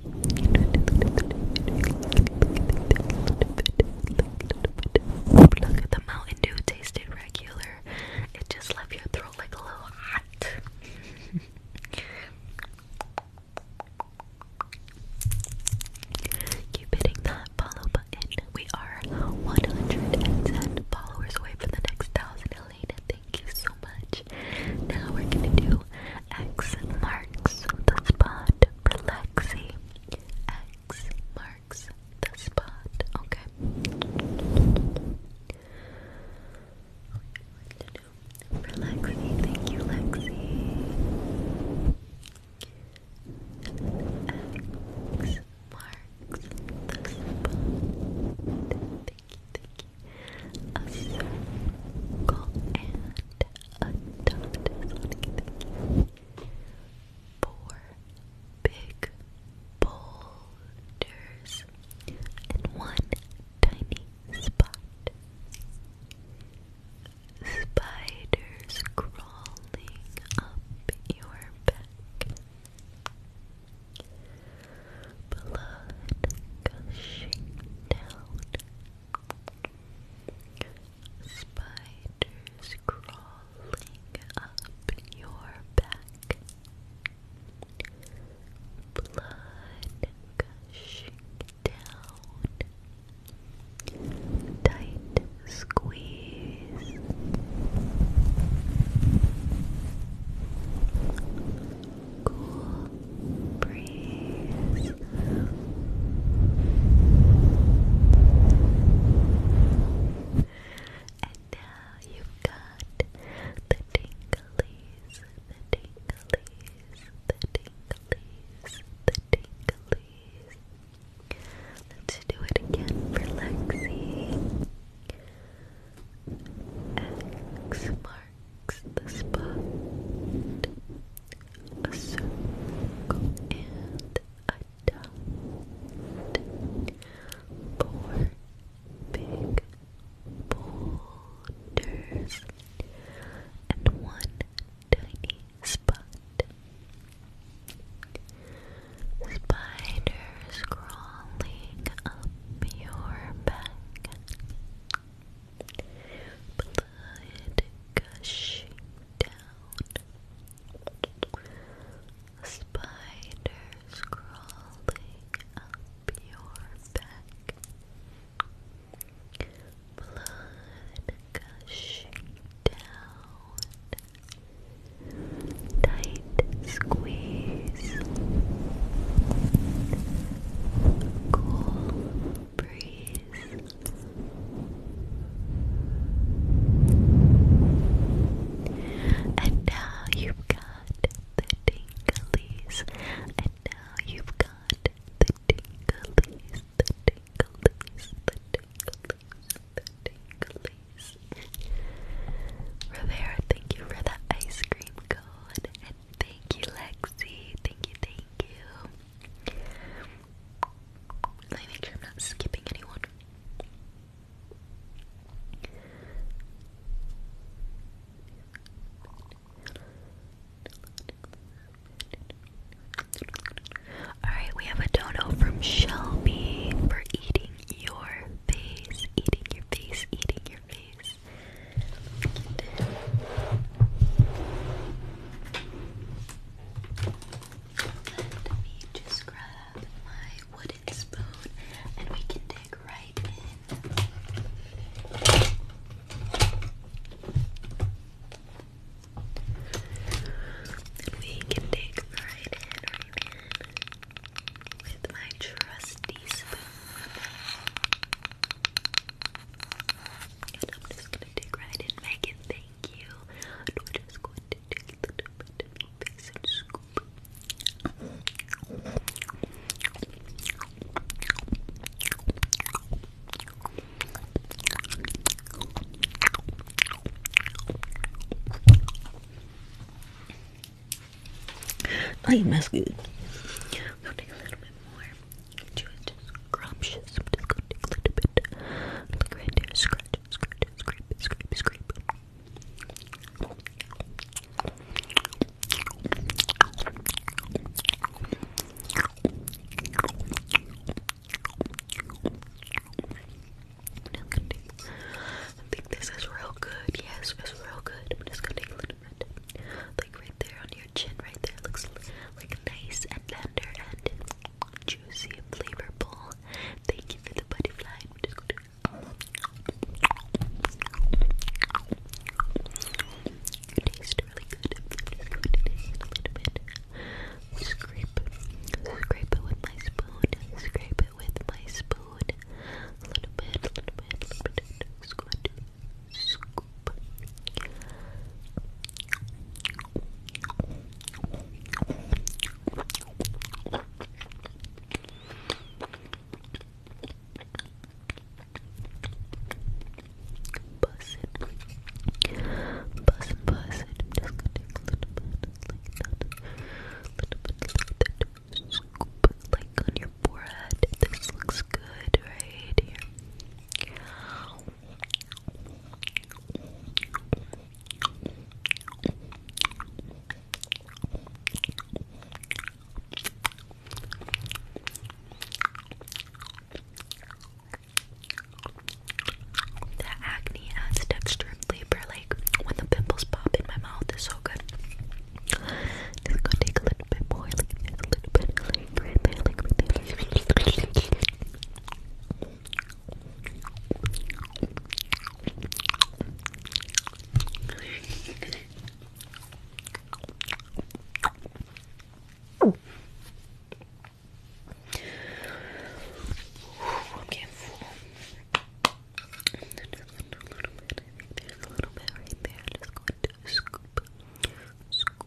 Look at the Mountain Dew tasted regular. It just left your throat like a little hot. Keep hitting that follow button. We are 110 followers away from the next thousand. Elena, thank you so much. Now we're gonna do X marks the spot Plexi X marks the spot. Okay. For Lexi, thank you, Lexi. X marks the spot. Thank you, thank you. A circle and thank you. Four big boulders and one tiny spot. Spiders crawling up your back. Blood down Spiders crawling up your back. Blood gushing down. Tight squeeze. Cool Breathe. And now you've got the tinglies, the tinglies, the tinglies, the tinglies. Let's do it again for Lexi. X marks the spot a circle and a dot. Four big boulders and one tiny spot. Spiders crawling up your back blood gushing down, spiders crawling up your back, blood gushing down, tight squeeze, cool and now you've got the tinglies. And now you've got the tinglies, the tinglies, the tinglies, the tinglies. Rivera, thank you for the ice cream cone. And thank you, Lexi. Thank you, thank you. Let sure I'm not skipping anyone. Alright, we have a dono from Shelby for eating your face, eating your face, eating your face. Let me just grab my wooden spoon and we can dig right in. we can dig right in with my trusty spoon. I'm just gonna dig right in, Megan. Thank you. And we just going to take a little bit of your face and scoop. good just scrumptious. I'm just gonna take a little bit. Look right there, scratch, scratch, scrape, scrape, scrape. I think this is real good. Yes, it's real good. I'm just gonna take a little bit. Like right there on your chin, right there. Looks like nice and tender and juicy and flavorful. Thank you for the butterfly. i taste really good. Scrape, it with my spoon. Scrape it with my spoon. A little bit, a little bit, scoop. Buzz it. I'm just gonna take a little bit, like that. Little bit, little bit. like on your forehead. This looks good right here. The acne adds texture flavor, like when the pimples pop in my mouth, is so good. Just going take a little bit more, I'm getting full. Just a little bit. There's a little bit right there. Just going to scoop, scoop,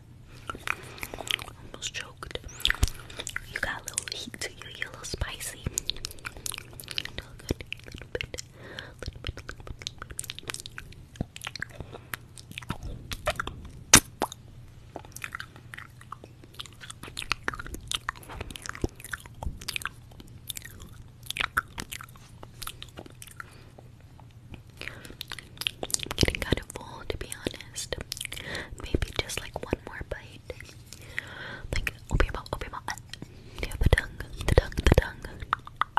Almost choked. You got a little heat to you. You're a little spicy. good. I'm getting kind of full, to be honest. Maybe just like one more bite. Like, open your mouth, open your mouth. the tongue? The tongue, the tongue.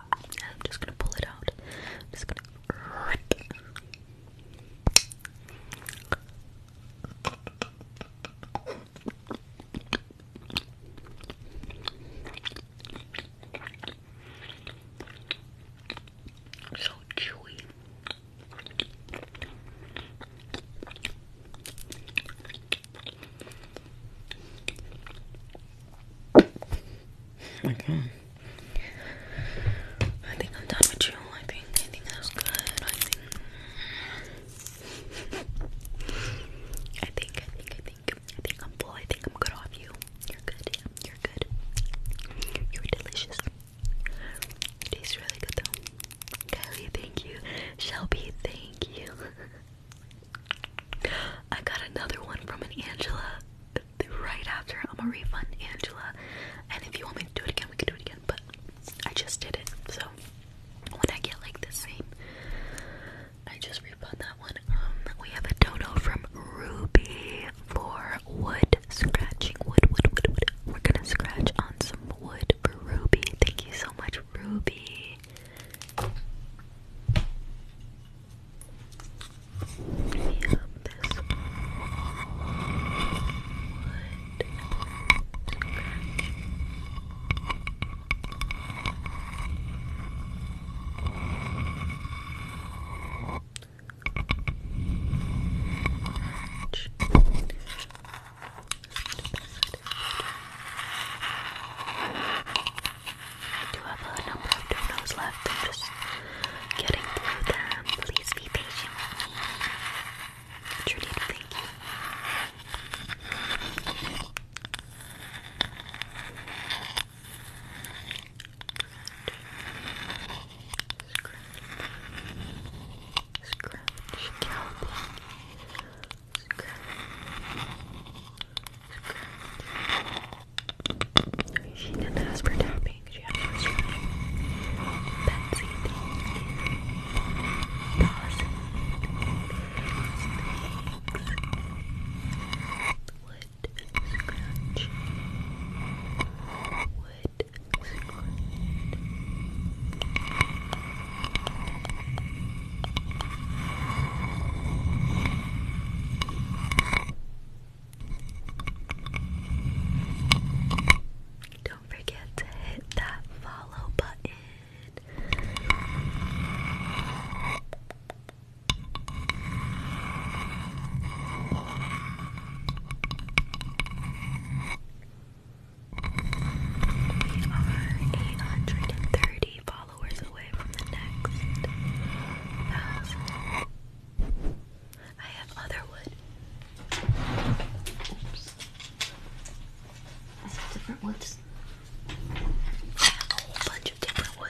I'm just gonna pull it out. I'm just gonna so chewy. Oh I think I'm done with you. I think I think that was good. I think I think I think I think I think I'm full. I think I'm good off you. You're good. You're good. You're delicious. It tastes really good though. Kylie, thank you. Shelby, thank you. I got another one from an Angela right after. I'm gonna refund Angela. And if you want me to do it again, we can do it again. But I just did it. So when I get like the same, I just refund that one. Um, we have a dono from Ruby for wood scratching. Wood, wood, wood, wood. We're gonna scratch on some wood for Ruby. Thank you so much, Ruby. We this wood do have a number of donuts left. I'm just getting through them. Please be patient with me. I truly thank you. Scratch. She didn't ask for tapping, she asked for scratching. Betsy, thank you. Positive. Thanks. Would don't forget to hit that follow button. We are 830 followers away from the next thousand. I have other wood. I have different woods. I have a whole bunch of different woods.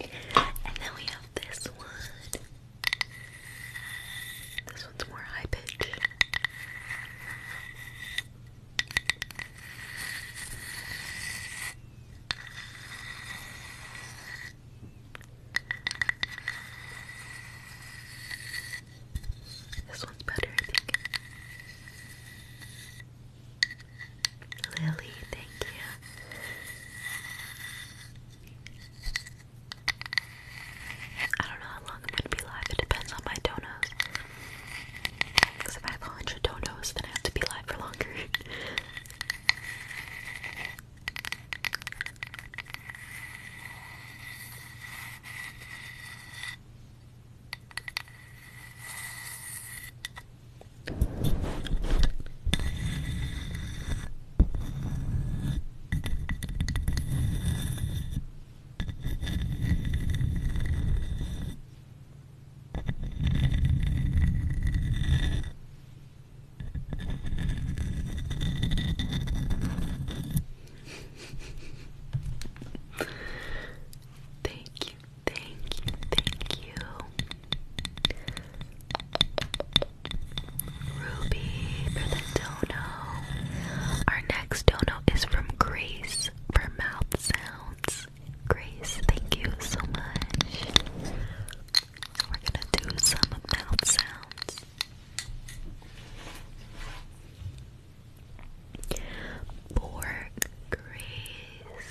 And then we have this one. This one's more high pitch. This one's better, I think. Lily, thank you. I don't know how long I'm going to be live. It depends on my donuts. Because if I have a 100 donuts, then I have to be live for longer thank you, thank you, thank you. Ruby for the dono. Our next dono is from Grace. Grace for mouth sounds. Grace, thank you so much. We're gonna do some mouth sounds. For Grace.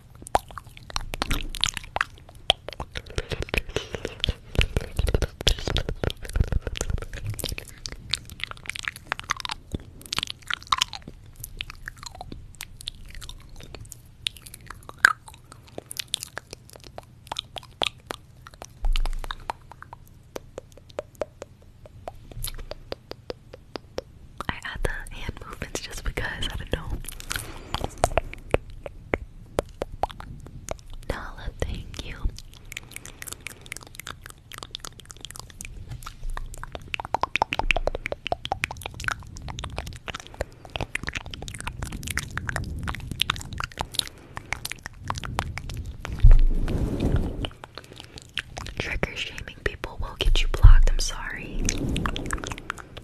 I add the hand movements just because I don't know. Nala, thank you. Trigger shaming people will get you blocked. I'm sorry.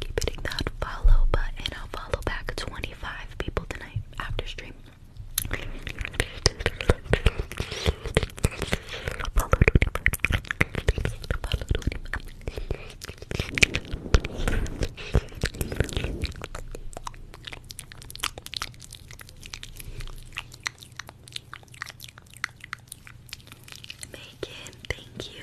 Keep hitting that follow button. I'll follow back 25 people tonight after stream. Megan, thank you.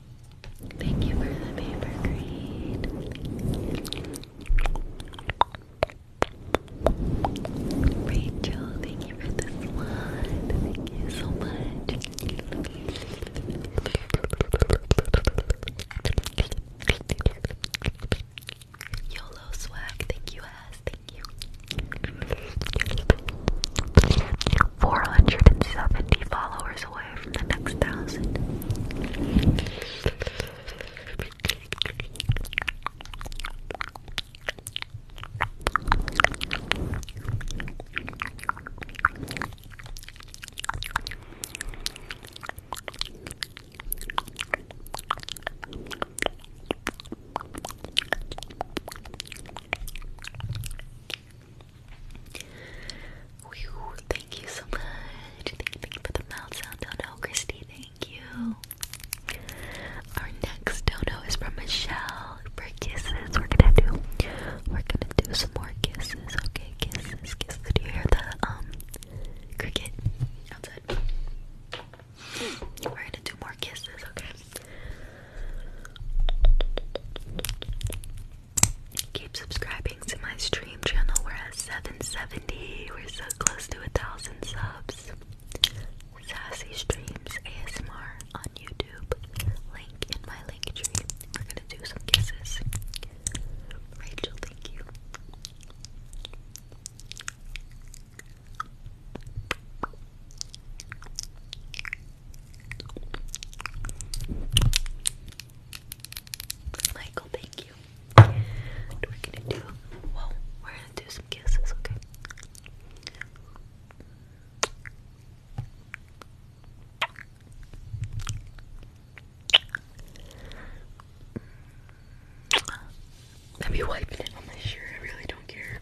Thank you for the paper green. Rachel, thank you for the slide. Thank you so much. YOLO swag, thank you, ass, thank you. 470 followers, away from the next thousand thank you so much. for the mouth sound, Dono. Christy, thank you. Our next dono is from Michelle for kisses. We're gonna do we're gonna do some more kisses. Okay, kisses, kisses. Do you hear the um cricket outside? We're gonna do more kisses, okay? Keep subscribing to my stream channel. We're at 770. We're so close to a thousand subs. Sassy Streams ASMR on YouTube. Link in my link tree. We're gonna do some kisses. Rachel, thank you. Michael, thank you. And we gonna do, whoa, we're gonna do some kisses, okay? Let me wipe it on my shirt, I really don't care.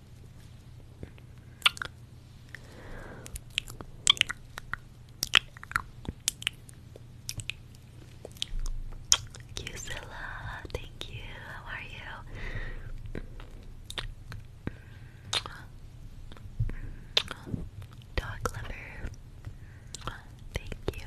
Thank you, Zilla. Thank you. How are you? Dog lover. Thank you.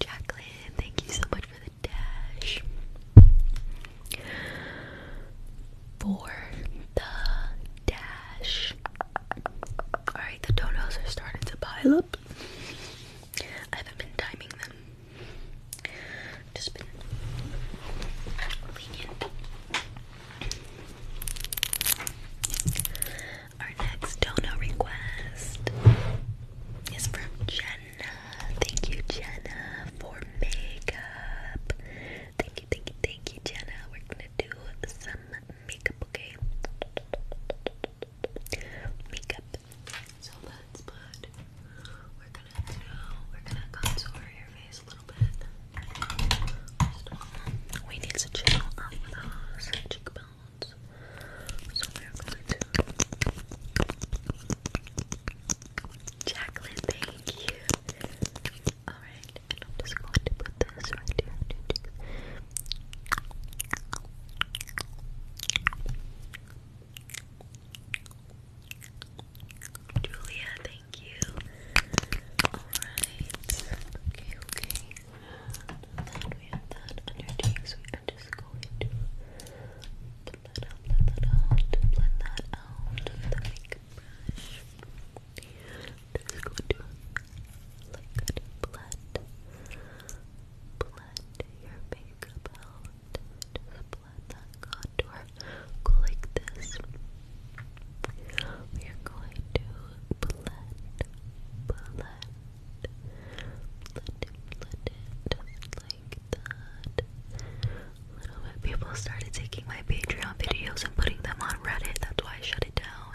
Jacqueline, thank you so much for the dash. For the dash. Alright, the toenails are starting to pile up. I haven't been timing them. Just been lenient. Our next dono request is from Jenna. Thank you, Jenna, for makeup. Thank you, thank you, thank you, Jenna. We're gonna do some makeup, okay? Makeup. So let's put. We're gonna do. We're gonna contour your face a little bit. we need to chill up those cheekbones. So we are going to. Jacqueline, thank you. Alright, I'm just going to put this right here. Julia, thank you. Alright. okay. Then we have that under cheeks. We are just going to blend that blend that out, blend that out with the makeup brush. i just going to like blend, blend your makeup out. blend that contour. Go like this. We are going to blend, blend, let it, little bit. People started taking my Patreon videos and putting them on Reddit. That's why I shut it down.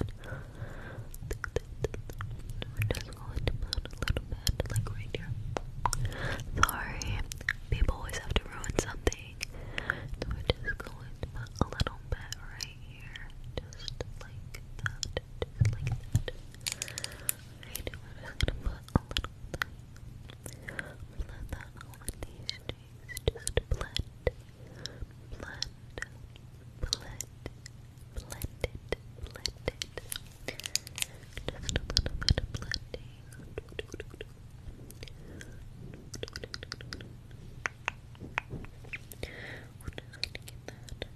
Sorry, people always have to ruin something. So we're just going a little bit right here, just like that, like that. Alright, we're just gonna put a little bit. Blend that these Just blend, blend, blend, blend it, Just a little bit little bit we're gonna get that.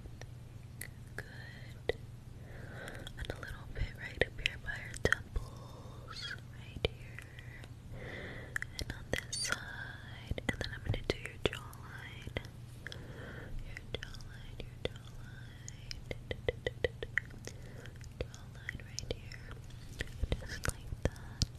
Good. And a little bit right up here by our temples. Right here. And on this side. And then I'm gonna do your jawline. Your jawline, your jawline. Jawline right here. Just like that.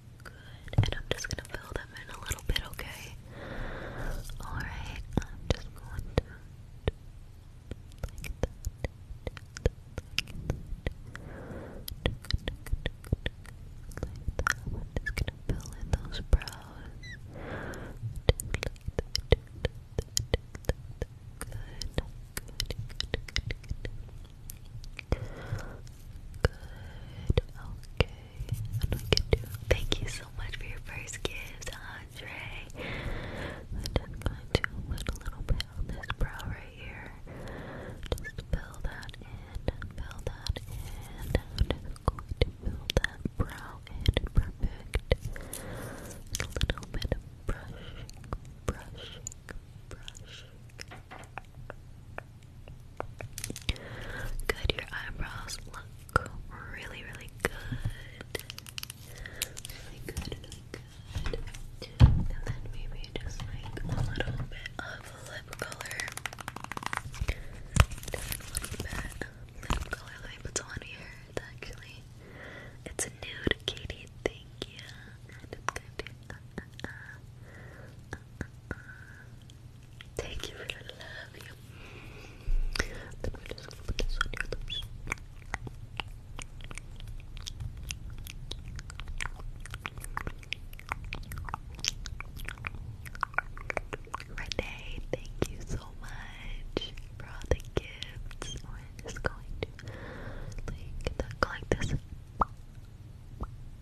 Good. And I'm just gonna fill them in a little bit, okay? Alright, I'm just going to like that. I'm just gonna fill in those brows. Good, good, good, good, good. Good, okay thank you so much for your first gift, Andre. I'm just going to put a little bit on this brow right here. Just fill that in, fill that in. just going to fill that brow in perfect. A little bit of brushing, brushing, brushing. Good, your eyebrows look really, really good. Really good, really good. And then maybe just like a little bit of lip color. Just a little bit of lip color. Let me put on here. actually, it's a nude Katie. Thank you. Thank you for the love you. Then we're just gonna on your lips. thank you so much for all the gifts. We're just going to like, this.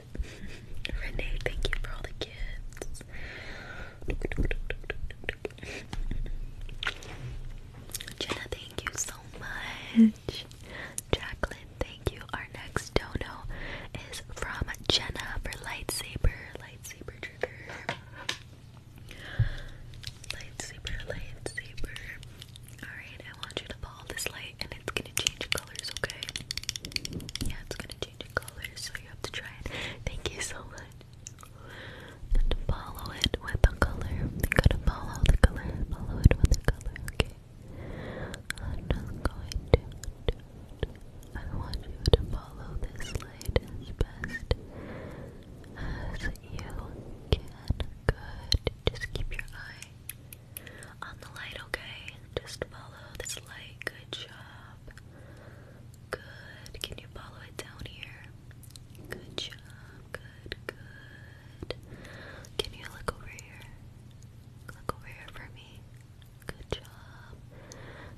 it. thank you for all the gifts. Jenna, thank you so much. Jacqueline, thank you. Our next dono is from Jenna for lightsaber, lightsaber trigger. Lightsaber, lightsaber. Alright, I want you to follow this light and it's gonna change colors, okay? Yeah, it's gonna change in so you have to try it. Thank you so much. And follow it with the color. You to follow the color. Follow it with the color, okay? I'm not going to I want you to follow this light as best as you can. Good. Just keep your eye on the light, okay? Just follow this light. Good job. Good. Can you follow it down here? Good job. Good, good. Can you look over here? Look over here for me. Good job.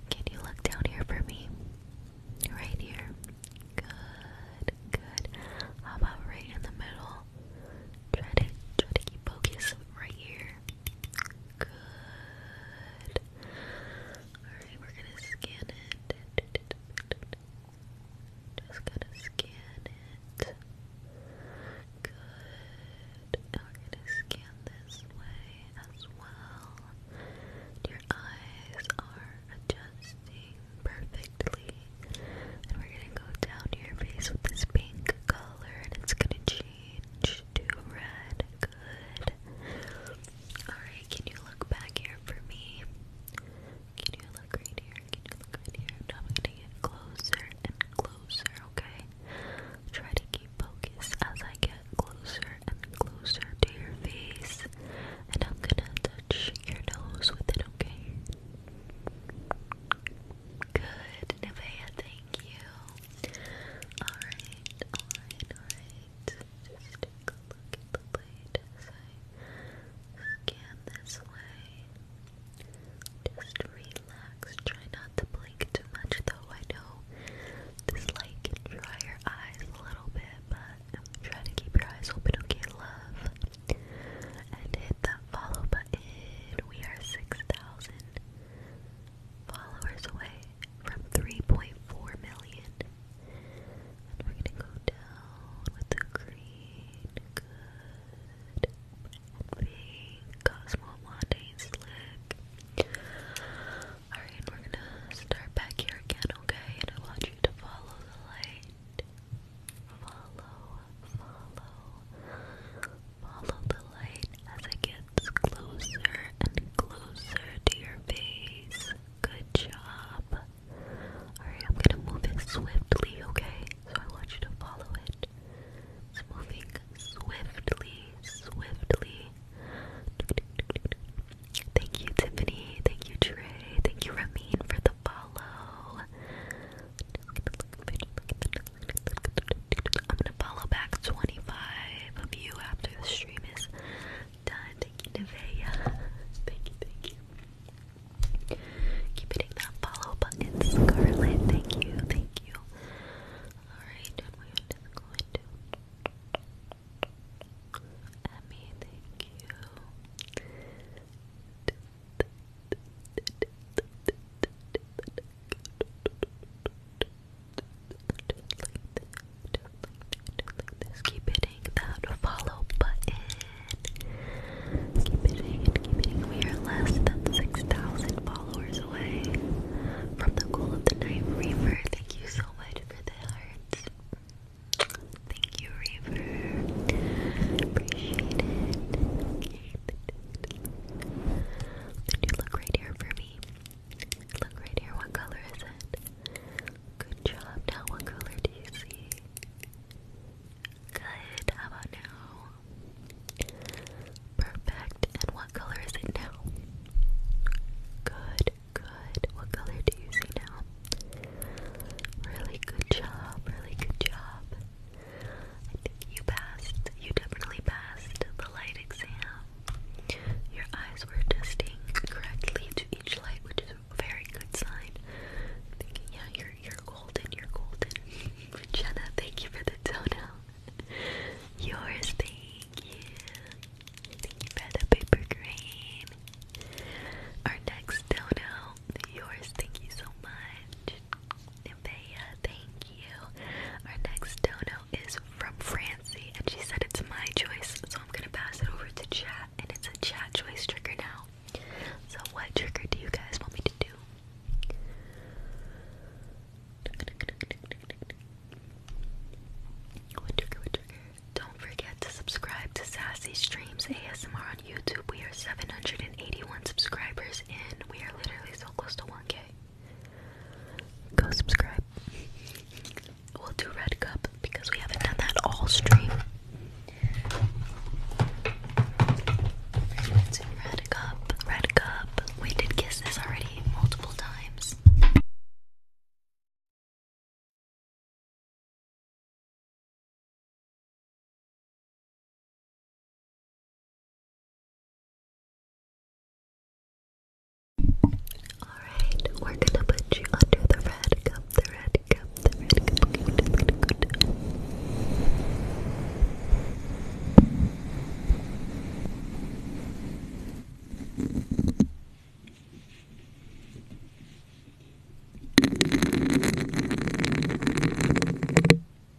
Can you look down here for me? Right here. Good, good. How about right in the middle? Try to try to keep focus right here. Good. Alright, we're gonna scan it. Just gonna scan it. Good. Now we're gonna scan this way as well. Your eyes are adjusting perfectly. And we're gonna go down to your face with this pink color and it's gonna change to red. Good. Alright, can you look back here for me? Can you look right here? Can you look right here? I'm gonna get closer and closer, okay? Try to keep focus as I get closer and closer to your face. And I'm gonna touch your nose with it, okay? Good, Nevaeh, thank you. Alright, alright, alright. Just take a look at the blade as scan this way. Just relax. Try not to blink too much though. I know this light can dry your eyes a little bit, but try to keep your eyes open, okay, love? And hit that follow button. We are 6,000 followers away from 3.4 million. we're gonna go down with the green, good, and pink, Slick. Alright, we're gonna start back here again, okay? And I want you to follow the light. Follow, follow, Follow the light as it gets closer and closer to your face. Good job. Alright, I'm gonna move it swiftly, okay? So I want you to follow it. It's moving swiftly, swiftly. Thank you, Tiffany. Thank you, Trey. Thank you, Ramin, for the follow. I'm gonna follow back 25 of you after the stream is done. Thank you, Nevaeh. Thank you, thank you. Keep hitting that follow button, Scarlet. Thank you, thank you. Alright, we thank you. Keep hitting that follow button. Keep hitting it, keep hitting. We are less than 6,000 followers away from the goal of the night. Reaver, thank you so much for the hearts. Thank you, Reaver. Appreciate it. Keep you look right here for Look right here, what color is it? Good job. Now what color do you see? Good, how about now? Perfect. And what color is it now? Good, good. What color do you see now? Really good job, really good job you passed. You definitely passed the light exam. Your eyes were adjusting correctly to each light, which is a very good sign. yeah, you're you're golden. You're golden. Jenna, thank you for the dono. Yours, thank you. the paper green. Our next dono. Yours, thank you so much. Bea, thank you. Our next dono is from Francie, and she said it's my choice, so I'm gonna pass it over to chat, and it's a chat choice trigger now. So, what trigger do you guys want me to do? What trigger, what trigger? Don't forget to subscribe to Sassy Streams ASMR on YouTube. We are 781 subscribers and We are literally so close to 1k. Go subscribe. We'll do red cup because we haven't done that all stream. red cup, red cup. We did kiss already multiple times. Alright, we're gonna put you under the red cup, the red cup, the red cup.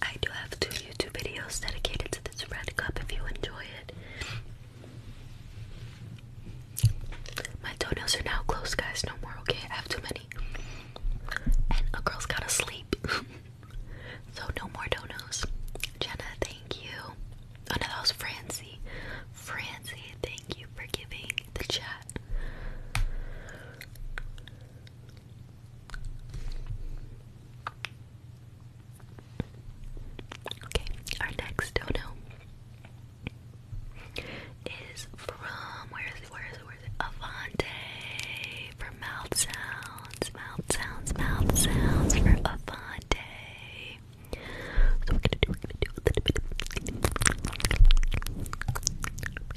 I do have two YouTube videos dedicated to this red cup if you enjoy it. My toenails are now closed, guys. No more, okay? I have too many. And a girl's gotta sleep. so, no more toenails. Jenna, thank you. Oh was Francie. Francie, thank you for giving the chat that. Okay, our next dono is from where is it? Where is it? Where is it? Avante for mouth sounds, mouth sounds, mouth sounds for Avante. So we're gonna do, we're gonna do a little bit.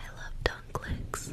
I love tongue clicks.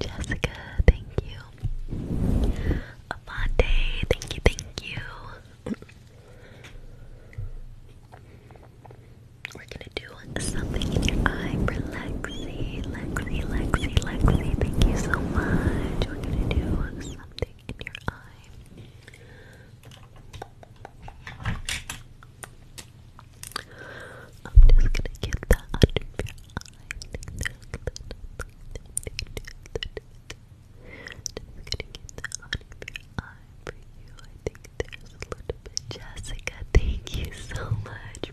Jessica, thank you. Amante, thank you, thank you. We're gonna do something in your eye, relax. Lexi, Lexi, Lexi, thank you so much. We're gonna do something in your eye. I'm just gonna get that under your eye. Just gonna get that under your eye for you. I think there's a little bit. Jessica, thank you so much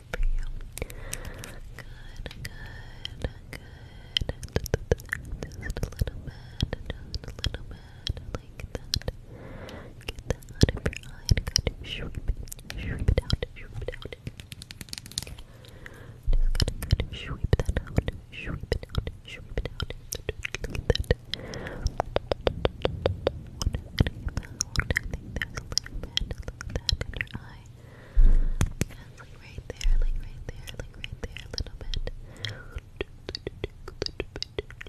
for you. Good, good, good. Just a little bit, just a little bit, like that. Get that out your eye and sweep it, sweep it out, sweep it out. Just got sweep that out, sweep it out, sweep it out. Look at that. I think a little bit. in your eye. Yes, like right there, like right there, like right there, a little bit.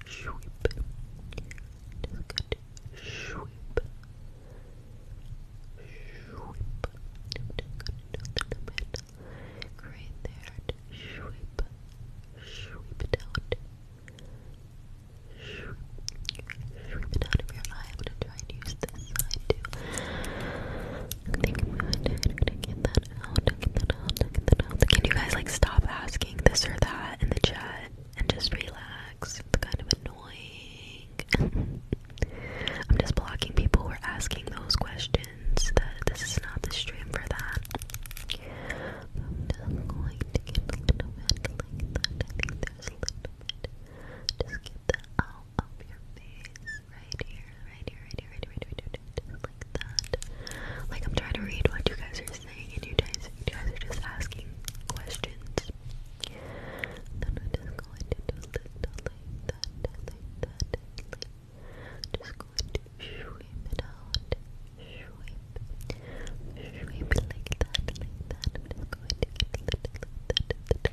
Just a Sweep. Just Sweep. Sweep. a little bit. Right there. Sweep. Sweep it out. Sweep it out of your eye. I'd use this side too. I think I'm going to get that out, get that out, get that out. Can you guys like stop asking this or that in the chat and just relax? It's kind of annoying. I'm just blocking people who are asking those questions. That this is not the stream for that. I'm just going to get a little bit. Just get that out up your face, right here, right here, right here, right here, right here, right here, just like that. Like I'm trying to read what you guys are saying, and you guys, you guys are just asking questions. Then I'm just going to do that, like that, just going to sweep it out, sweep, sweep like that, like that. just going to get a little bit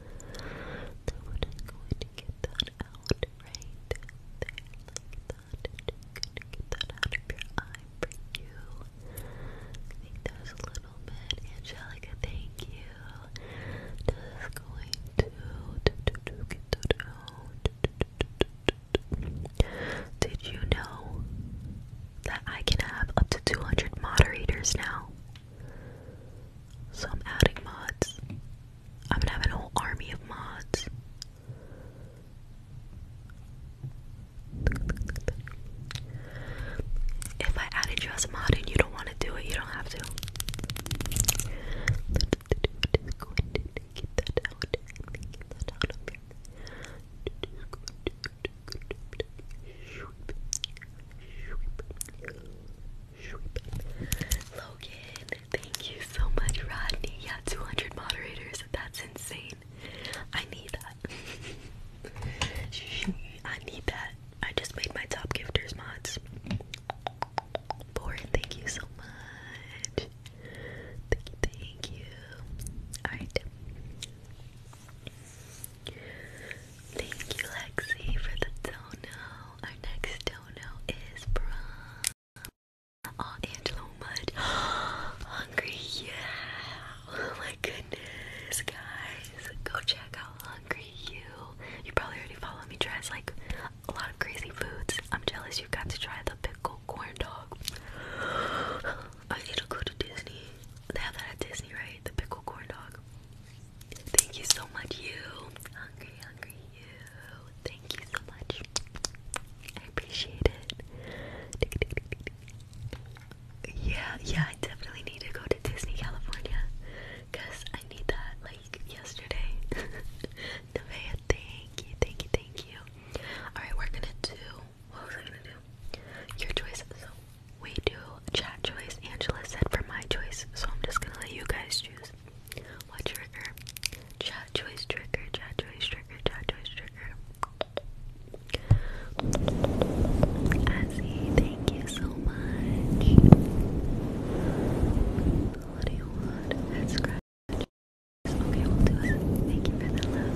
So we going to get that out of your eye for you. I a little bit. Angelica, thank you. Just going to get that out. Did you know that I can have up to 200 moderators now? So I'm adding mods. I'm gonna have an whole army of mods. If I added you as a mod and you don't want to do it, you don't have to. Logan, thank you so much, Rodney. Yeah, 200 moderators. That's insane. I need that. I need that. I just made my top gifters mods. Boren, thank you so much. Thank you, thank you. Alright. Thank you, Lexi, for the dono. Our next dono is from Oh, Angelo Hungry, yeah. Oh my goodness, guys. Go check out Hungry You. You probably already follow me. Tries like a lot of crazy foods. I'm jealous you got to try the pickle corn dog. I need to go to Disney. They have that at Disney, right? The pickle corn dog. Thank you so much, you. Hungry, hungry, you. Thank you so much. I appreciate it. Yeah, yeah, I definitely need to go to Disney California. Cause I need that like yesterday. Nevaeh, thank you, thank you, thank you. Alright, we're gonna do what was I gonna do? Your choice. We do chat choice. Angela said for my choice, so I'm just gonna let you guys choose. What trigger? Chat choice trigger, chat choice trigger, chat choice trigger. Azzy, thank you so much. What do you want? That's scratch. Okay, we'll do it. Thank you for the love,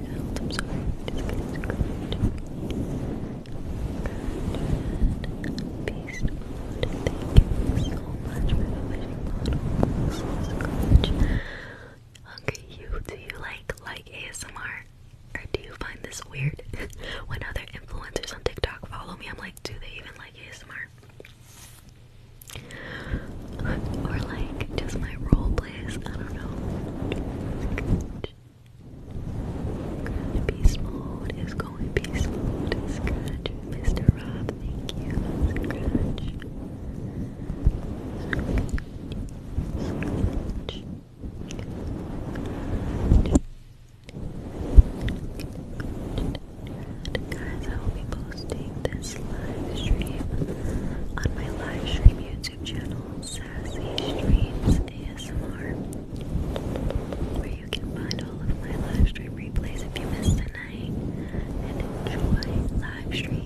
I'm sorry. Thank you so much for you do you like like ASMR? Or do you find this weird? when other influencers on TikTok follow me, I'm like, do they even like ASMR? Or like just my role I don't know. Peace mode is going. Peace mode. Scratch. Mr. Rob, thank you. Guys, I will be posting this live stream on my live stream YouTube channel, Sassy Streams ASMR, where you can find all of my live replays if you missed a and enjoy live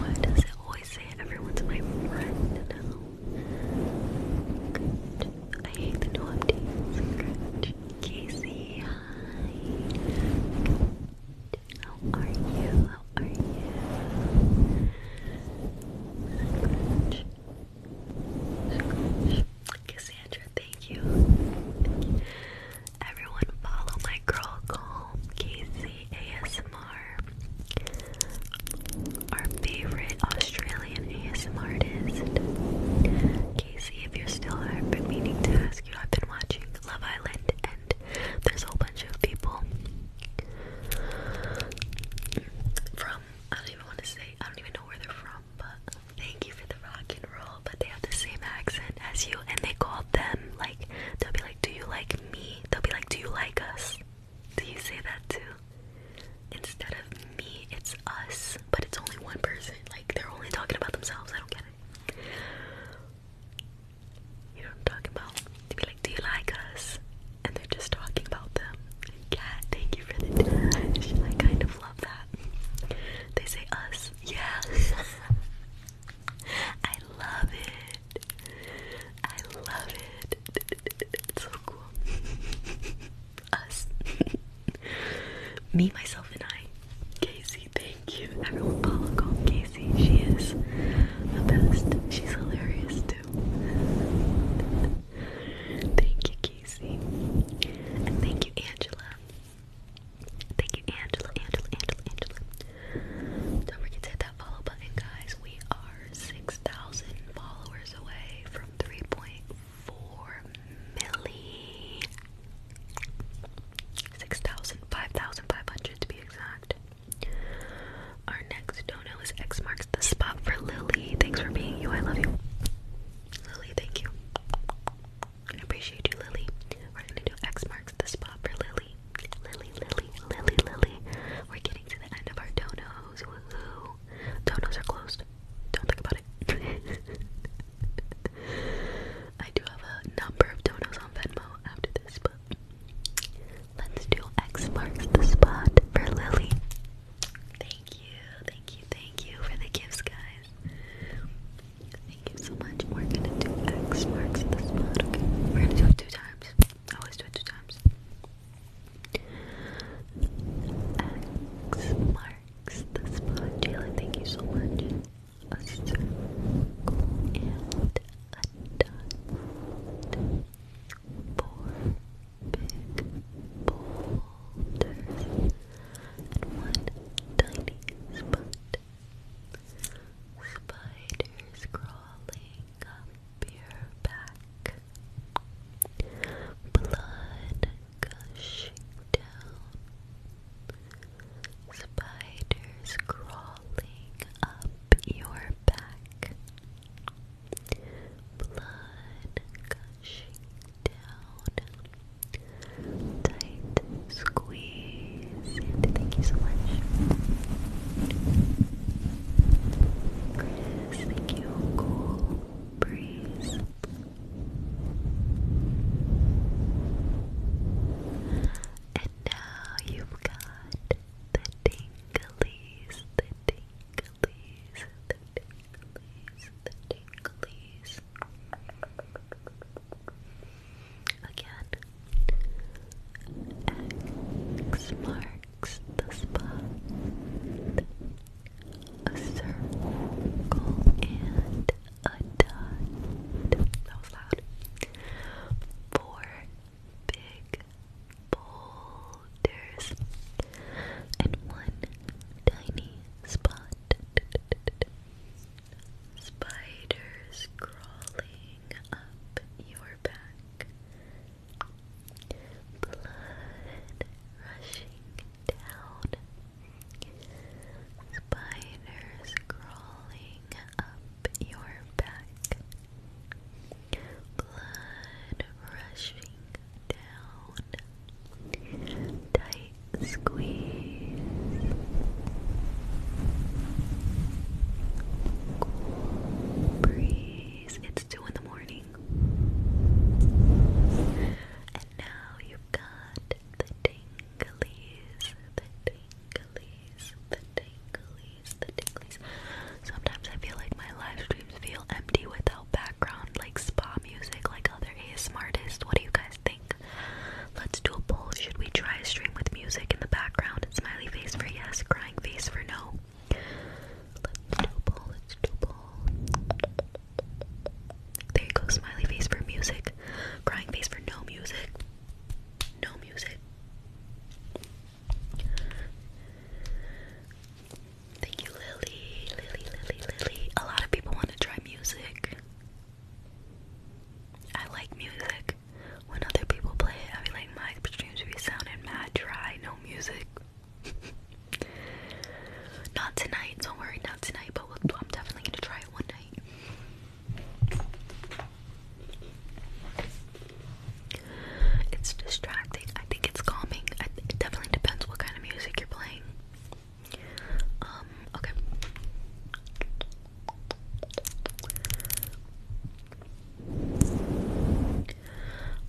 Why does it always say everyone's my friend now? I hate the new updates. Casey, hi. How are you? How are you? Cassandra, thank you. Everyone, follow my girl call, Casey ASMR our favorite Australian ASM artist. Casey, if you're still there, I've been meaning to ask you. I've been watching Love Island, and there's a whole bunch of people from, I don't even want to say, I don't even know where they're from, but thank you for the rock and roll, but they have the same accent as you, and they call them, like, they'll be like, do you like me? They'll be like, do you like us? Do you say that too? Instead of me, it's us, but it's only one person. Like, they're only talking about themselves. I don't get it. You know what I'm talking about? To be like, do you like us? And they're just talking about them. Cat, thank you for the I kind of love that. They say us. Yeah. I love it. I love it. It's so cool. us. Me, myself, and I. Casey, thank you. Everyone follow call Casey. She is the best. She's hilarious too. thank you, Casey. And thank you, Angela. Thank you, Angela, Angela, Angela, Angela. Don't forget to hit that follow button, guys. We are 6,000 followers away from 3.4 four milli. Six thousand, five thousand five hundred to be exact. Our next dono is X marks the spot for Lily. Thanks for being you. I love you. Lily, thank you. I appreciate you, Lily. We're gonna do X marks the spot for Lily. Lily, Lily, Lily, Lily. We're getting to the end of our donos. Woohoo. Donos are closed. Don't think about it. I do have a number of donos on Venmo after this, but let's do X marks the spot for Lily. Thank you, thank you, thank you for the gifts, guys. Thank you so much. We're gonna do X marks the spot. Okay, we're gonna do it two times. always do it two times. X marks marks the spot. Jalen, thank you so much. and a dot. Four big boulders and one tiny spot. Spiders crawling up your back. Blood gushing down. Spiders crawling up your back. Blood gushing down. Tight squeeze. thank you so much. Chris, thank you. Cool breeze. And now you've got the tinglies, the tinglies, the tinglies, the tinglies. Again, X marks the spot a circle, and a dot. That was loud. Four big boulders and one tiny spot. Spiders crawling up your back. Blood rushing Spiders crawling up your back. Blood rushing down. Tight squeeze. breeze. It's two in the morning. And now you've got the tinglies, the tinglies, the tinglies, the tinglies. Sometimes I feel like my live streams feel empty without background, like spa music, like other ASMR artists. What do you guys think? Let's do a poll. Should we try a stream with music in the background? Smiley face for yes, crying face for no. Let's do a poll, let's do a poll. There you go, smiley face for music, crying face for no music. No music. Thank you, Lily, Lily, Lily, Lily. A lot of people want to try music. I like music. When other people play it, I be like, my streams be sounding mad dry, no music not tonight, don't worry, not tonight, but we'll, I'm definitely gonna try it one night. It's distracting. I think it's calming. I th it definitely depends what kind of music you're playing. Um, okay.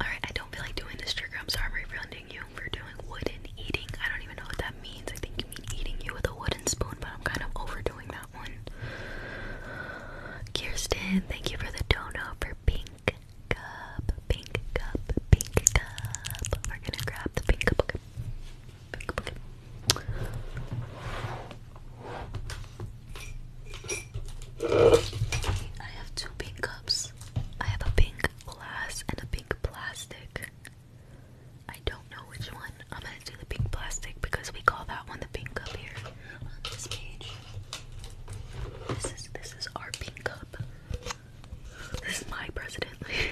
Alright, I don't feel like doing this trigger. I'm sorry for offending you for doing wooden eating. I don't even know what that means. I think you mean eating you with a wooden spoon, but I'm kind of overdoing that one. Kirsten, thank you for the donut for pink cup, pink cup, pink cup. We're gonna grab the pink cup. I have two pink cups. I have a pink glass and a pink plastic. I don't know which one. I'm gonna do the pink plastic because we call that one the pink cup here this page. This is this is our pink cup. This is my president.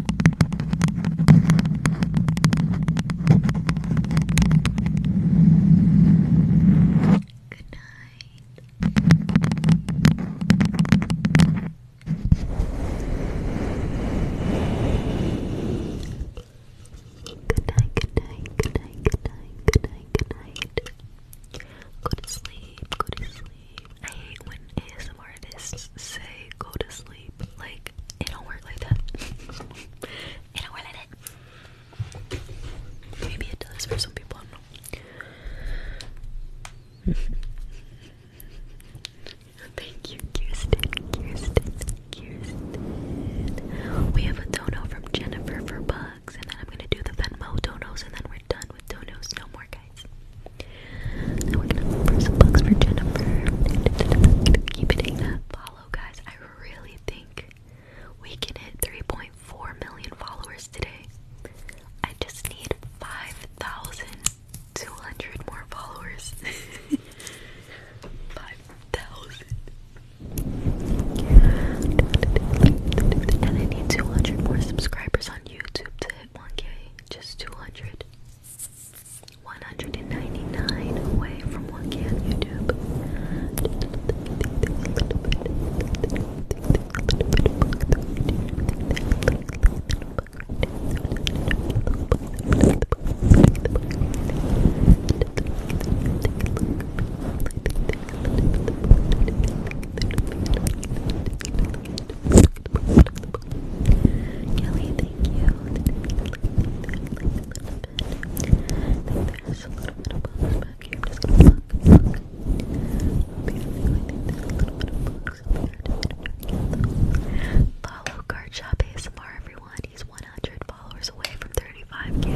Go to sleep, go to sleep. I hate when ASMR artists say go to sleep. Like it don't work like that. it don't work like that. Maybe it does for some people. Thank you, Kirsten. Kirsten. Kirsten. We have a dono from Jennifer for bugs, and then I'm gonna do the Venmo donos, and then we're done with donos. No more guys. Now we're gonna look some bugs for Jennifer. Keep it in that follow, guys. I really think we can hit 3.4 million followers today. I just need 5,200 more followers. 5,000. And I need 200 more subscribers on YouTube to hit 1k. Just 200. 199 away from what can YouTube. Kelly, thank you bit. I think there's a little bit of bugs back here. I'm just gonna pluck, pluck. Up here, I think there's a little bit of bugs up here. Follow Card Shop ASMR, everyone. He's 100 followers away from 35k.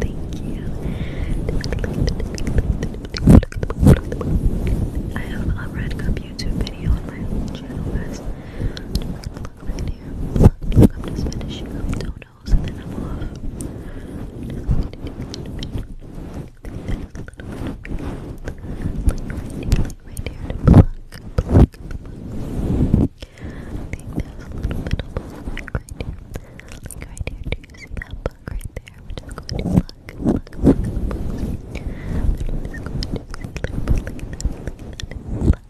Thank you. I have a Red Cup YouTube video on my channel, guys. Just gonna pluck right here. I'm just finishing up donuts and then I'm off. Right here to pluck, pluck, pluck. I think there's a little bit of black right here. Like right here, do you see that bug right there? We're just going to pluck, pluck, pluck, pluck. We're just going to see little bug like that, like that, and pluck,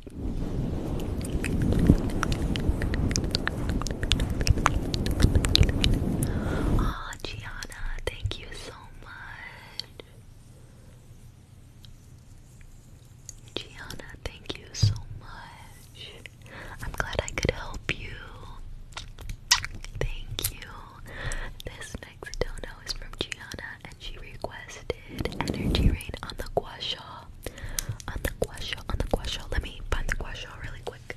Oh, Gianna, thank you so much. Gianna, thank you so much. I'm glad I could help you. Thank you. This next dono is from Gianna, and she requested energy rain on the gua sha. On the guasho, on the guasho. Let me find the guasho really quick.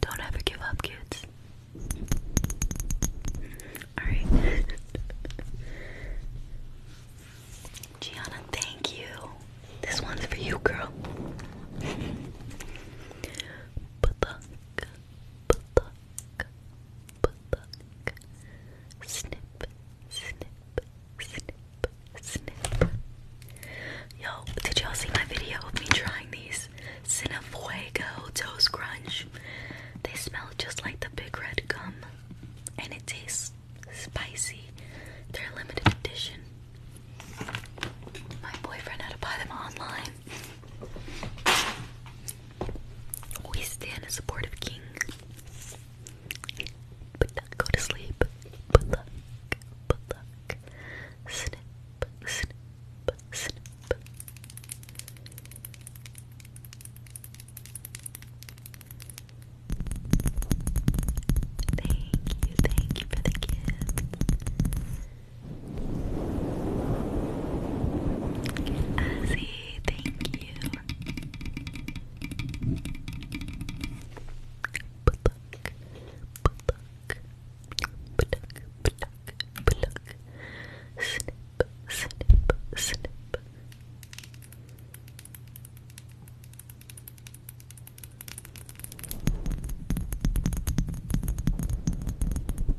Don't ever give up, kids. Alright. Gianna, thank you. This one's for you, girl. Snip, snip, snip, snip. Yo, did y'all see my video of me trying these Cinefuego toes Crunch? They smell just like the big red gum, and it tastes spicy. They're a limited edition. My boyfriend had to buy them online. We stand a supportive king. But not go luck, but luck. Snip, snip, snip. Thank you, thank you for the gift. Azzy, thank you.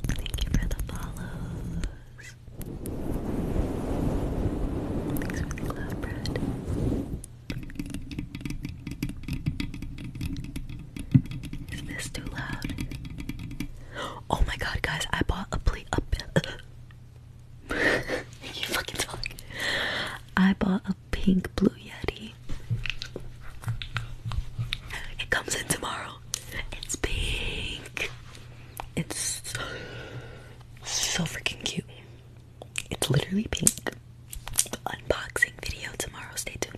Thank you for the follows. Thanks for the glove, Brad. Is this too loud? Oh my god, guys, I bought a plea. up. I bought a pink blue yeti. It comes in tomorrow. It's pink. It's so freaking cute. It's literally pink. Unboxing video tomorrow. Stay tuned.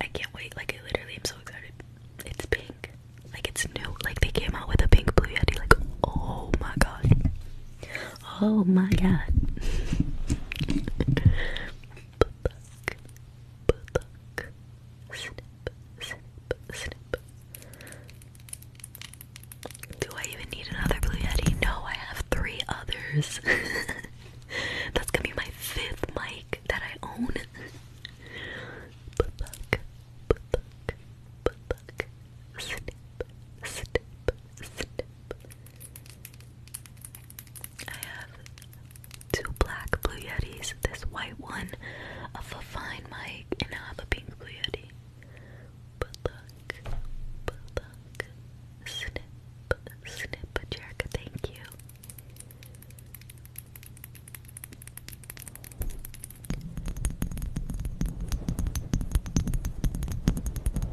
I can't wait. Like I literally am so excited. It's pink. Like it's new. Like they came out with a pink blue yeti. Like oh my god. Oh my god. Do I even need another Blue Yeti? No, I have three others. That's gonna be my fifth mic that I own. I have two black blue yetis, this white one of a fine mic, and I have a pink blue yeti. But look, but look, snip, snip, Jerica, thank you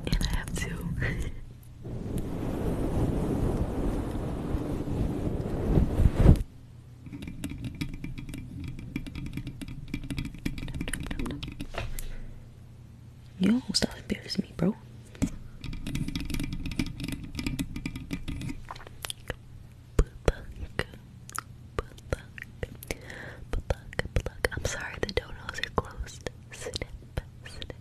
and I have two. Yo, stop embarrassing me, bro. I'm sorry the donuts are closed. Snip, snip, snip.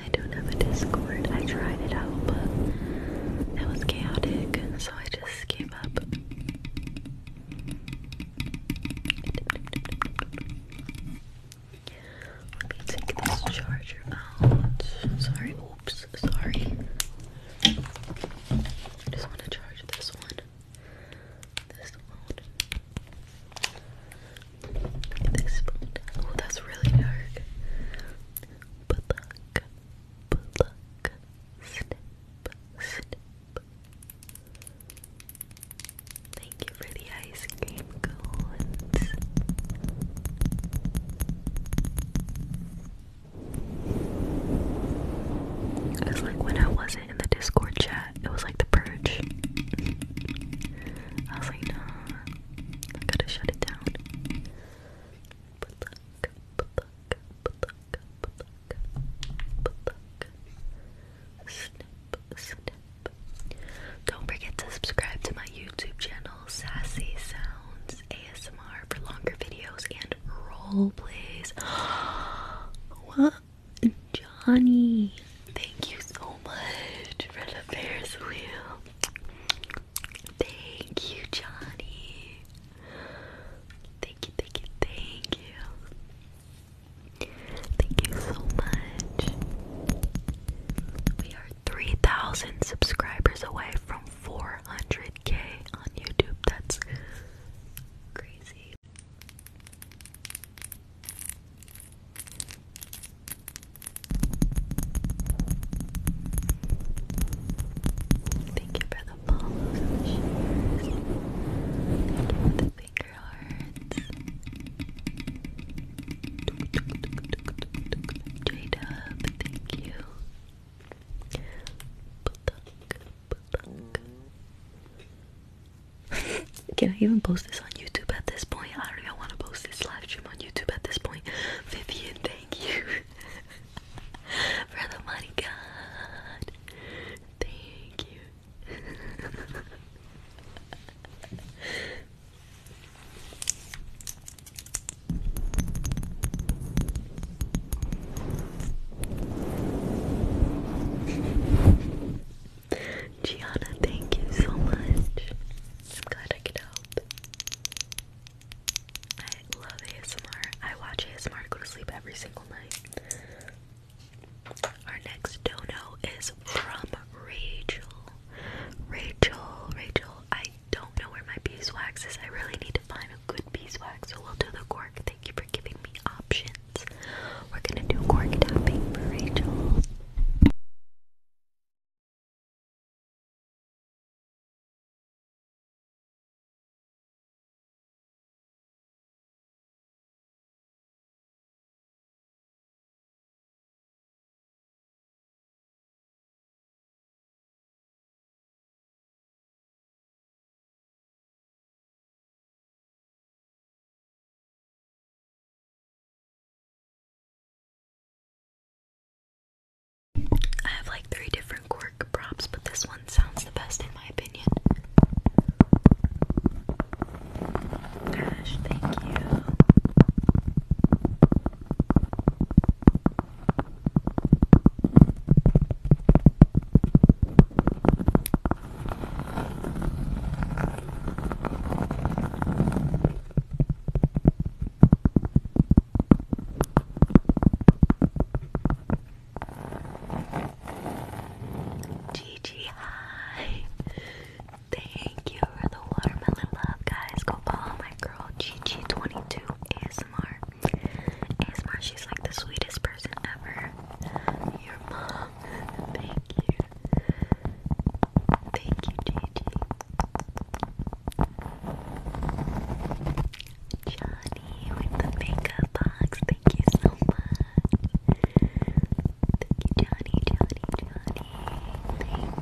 I don't have a Discord. I tried it out, but it was chaotic, so I just gave up. Let me take this charger out. Sorry, oops, sorry. I just want to charge this one. This one. This one. Oh, that's really dark. Pluck, pluck, snip, snip, Thank you for the ice cream cones. It was like when I wasn't in the Discord chat, it was like the purge. I was like, nah, I gotta shut it down. Don't forget to subscribe to my YouTube channel, Sassy Sounds ASMR, for longer videos and role plays. what? Johnny, thank you so much for the Ferris wheel. Thank you, Johnny. Thank you, thank you, thank you. Thank you so much. We are 3,000 subscribers away from 400k on YouTube. That's crazy. Thank you for the Thank you thank you. Can I even post this on YouTube at this point? I don't even want to post this live stream on YouTube at this point. Vivian, thank you for the money, God. Thank you. Gianna, thank you so much. I'm glad I could help. I love ASMR. I watch ASMR go to sleep every single night. Our next dono is from Rachel. Rachel, Rachel, I don't know where my beeswax is. I really need to find a good beeswax, so we'll do the cork. Thank you for giving me options. We're gonna do cork tapping Rachel. I have like three different cork props, but this one sounds the best in my opinion. Gosh, thank you. Gigi, hi. Thank you for the watermelon love, guys. Go follow my girl Gigi22 ASMR. ASMR, she's like the sweetest person ever. Your mom. Thank you. Thank you, Gigi. Johnny with the makeup box. Thank you so much. Thank you, Johnny, Johnny, Johnny. Thank you.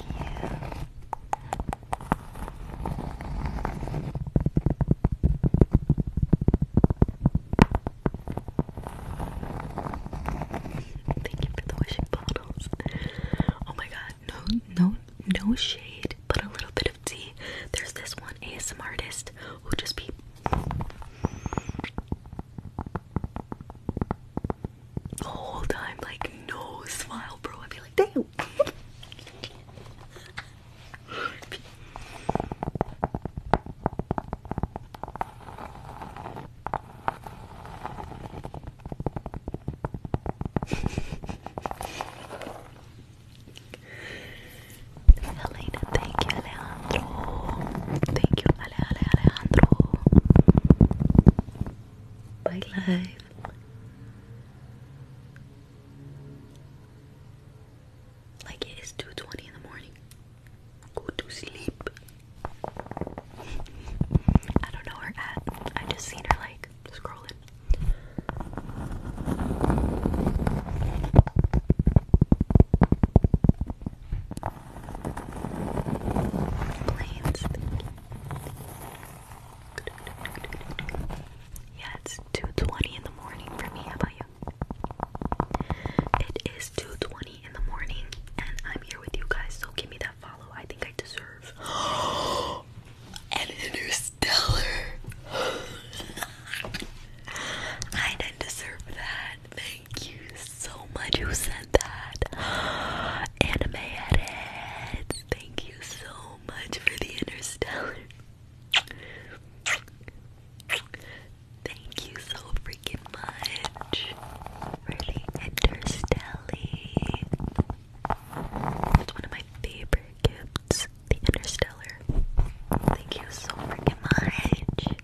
Thank you for the wishing bottles. Oh my god, no, no, no shade, but a little bit of tea. There's this one ASM artist who just be the whole time, like no smile, bro. I'd be like, damn. Helena, thank you, Alejandro. Thank you, Ale, Ale, Alejandro. Bye, live. Like it is 2.20 in the morning. Go to sleep. I don't know her at. I just seen her like scrolling. Yeah, it's two twenty in the morning for me. How about you? It is two twenty in the morning, and I'm here with you guys. So give me that follow. I think I deserve an interstellar. I didn't deserve that. Thank you so much who said that. Anime edits. Thank you so much for the interstellar. Thank you so freaking much for the interstellar. It's one of my favorite gifts, the interstellar. Thank you so freaking much. Thank you.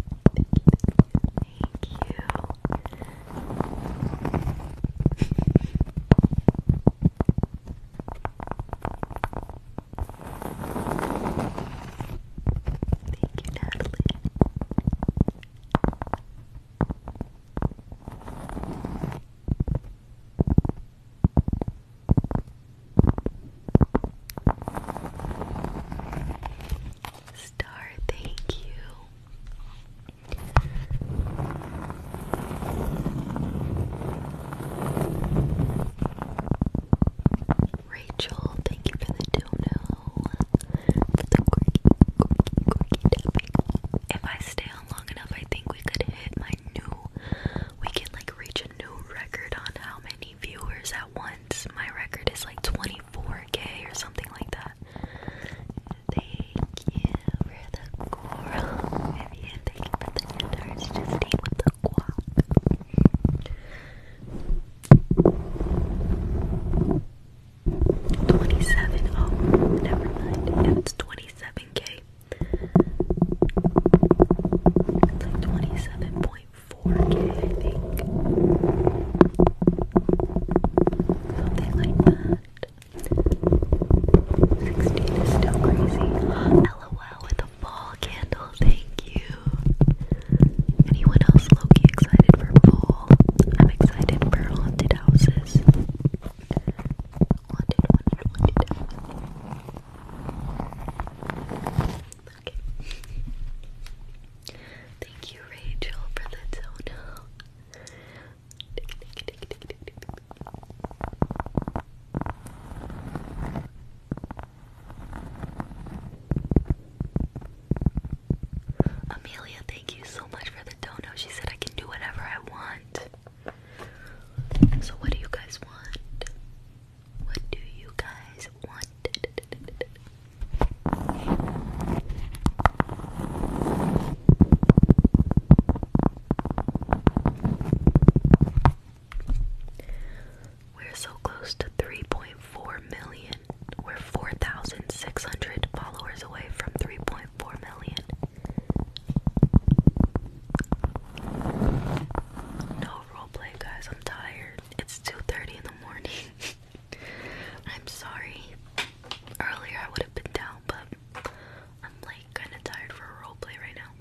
Thank you, Natalie. Star, thank you. Rachel, thank you for the dono. If I stay on long enough, I think we could hit my new. We can like reach a new record on how many viewers at once. My record is like 24k or something like that. Thank you for the coral, Vivian. Thank you for the guitars. Just stay with the guap. 27. Oh, never mind. And it's 27k. It's like 27.4k, I think. Something like that. 16 is still crazy. LOL with a fall candle, thank you. Anyone else low excited for fall? I'm excited for haunted houses. Okay. Thank you, Rachel, for the dono. Amelia, thank you so much for the dono. She said I can do whatever I want. So, what do you guys want? What do you guys want? We're so close to 3.4 million we We're 4,600 followers away from 3.4 million. No roleplay, guys. I'm tired. It's 2:30 in the morning. I'm sorry. Earlier I would have been down, but I'm like kind of tired for roleplay right now.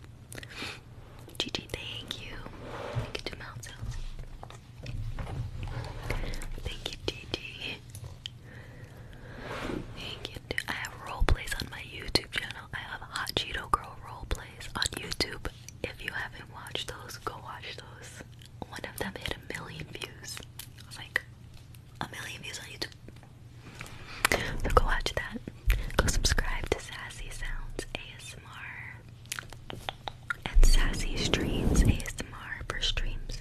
GG, thank you. Thank you to Mountain. Thank you, Gigi. Thank you. I have role plays on my YouTube channel. I have Hot Cheeto Girl role plays on YouTube. If you haven't watched those, go watch those. One of them hit a million views. like a million views on YouTube. So go watch that. Go subscribe to Sassy Sounds ASMR and Sassy Streams ASMR for streams.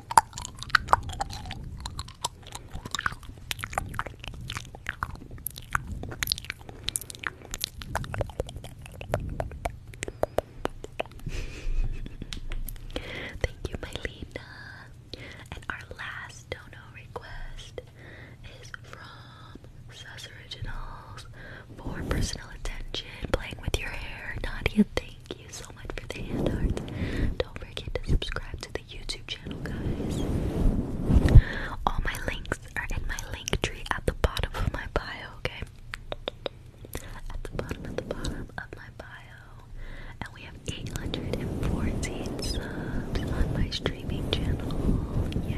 Thank you, Mylena. And our last donor request is from Sus Originals for personal attention, playing with your hair. Nadia, thank Thank you so much for the hand hearts. Don't forget to subscribe to the YouTube channel, guys. All my links are in my link tree at the bottom of my bio, okay? At the bottom, at the bottom of my bio. And we have 814 subs on my streaming channel. yay.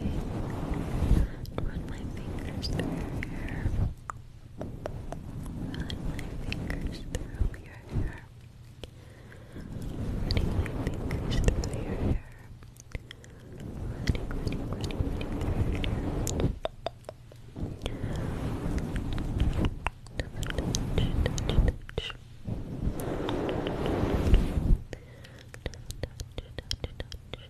okay. Run my fingers through your hair. Run my fingers through your hair. Running my fingers through your hair. Running, running, running, running through your hair. Touch, touch, touch. Touch, touch, touch, touch.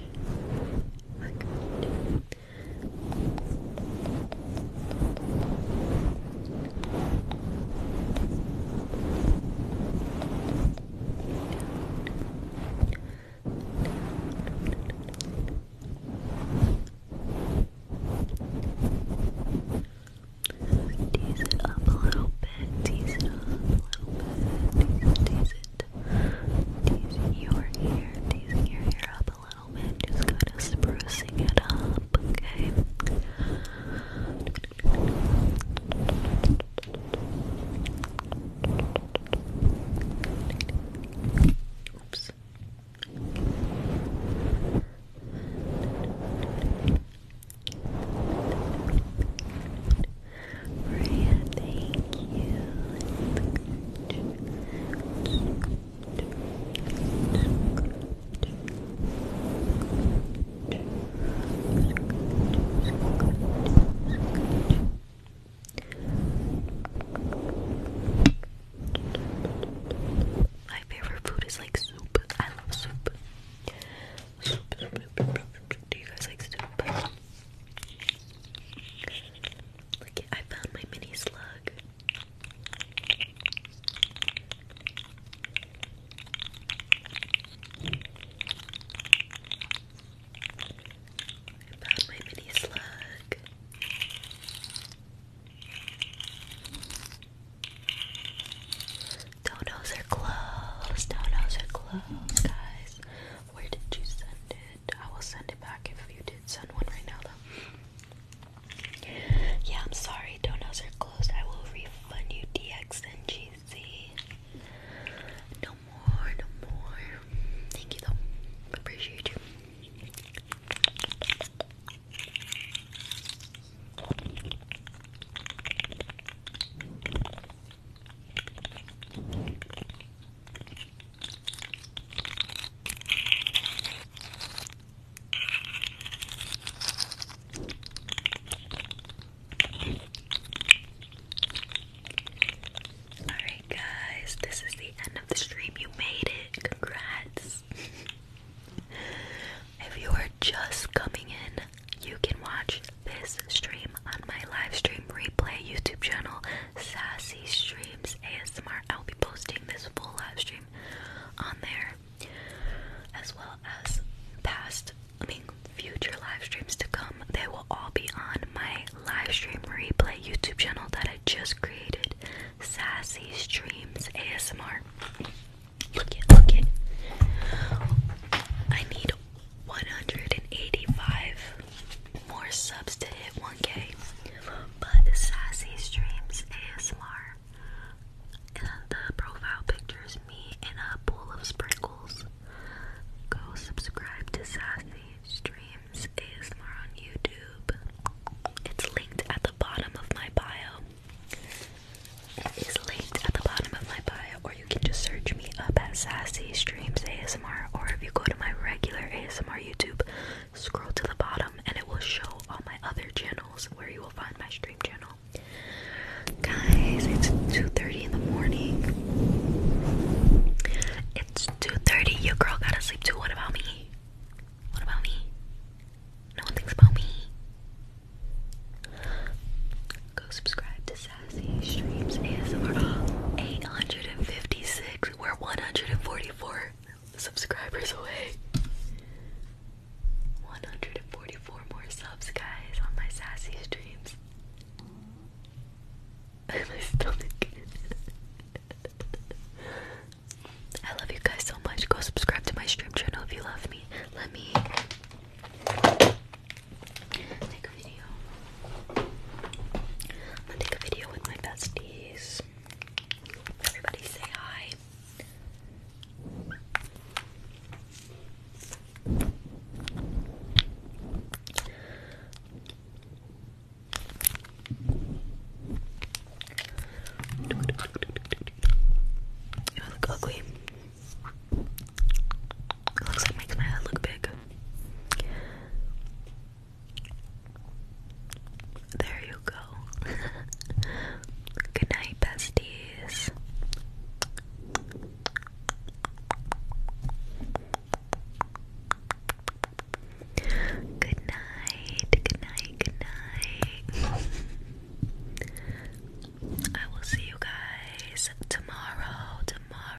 We're Tease it up a little bit, tease it up a little bit, tease it, your ear, teasing your ear up a little bit, just kind of sprucing it up, okay? Oops. Maria, thank you. My favorite food is like soup. I love soup. Do you guys like soup? Look, I found my mini slug. I found my mini slug. Donos are closed. Donos are closed, guys. Where did you send it? I will send it back if you did send one right now, though. Yeah, I'm sorry. Donuts are closed. I will refund you DX No more, no more. Thank you, though. Appreciate you. Alright, guys, this is the end of the stream. You made it. Congrats. if you are just coming in, you can watch this stream on my live stream replay YouTube channel, Sassy Streams ASMR. I'll be posting this full live stream on there, as well as past, I mean, future live streams to come. They will all be on my live stream replay YouTube channel that I just created, Sassy Streams ASMR. Look it, look it. I need 185 more subs to hit 1k. But Sassy Streams ASMR. And the profile picture is me in a bowl of sprinkles. Go subscribe to Sassy Streams ASMR on YouTube. It's linked at the bottom of my bio. It's linked at the bottom of my bio, you can just search me up at Sassy Streams ASMR, or if you go to my regular ASMR YouTube, scroll to the bottom and it will show all my other channels where you will find my stream channel. Guys, it's 2.30 in the morning. It's 2.30, your girl gotta sleep too, what about me? What about me? No one thinks about me. Go subscribe to Sassy Streams ASMR 856. We're 144 subscribers away. 144 more subs, guys, on my Sassy Streams. my stomach. I love you guys so much. Go subscribe to my stream channel if you love me. Let me I'm gonna take a video with my besties. Everybody say hi. I look ugly. It looks like makes my head look big. There you go. Good night, besties. Good night, good night, good night. I will see you guys tomorrow, tomorrow.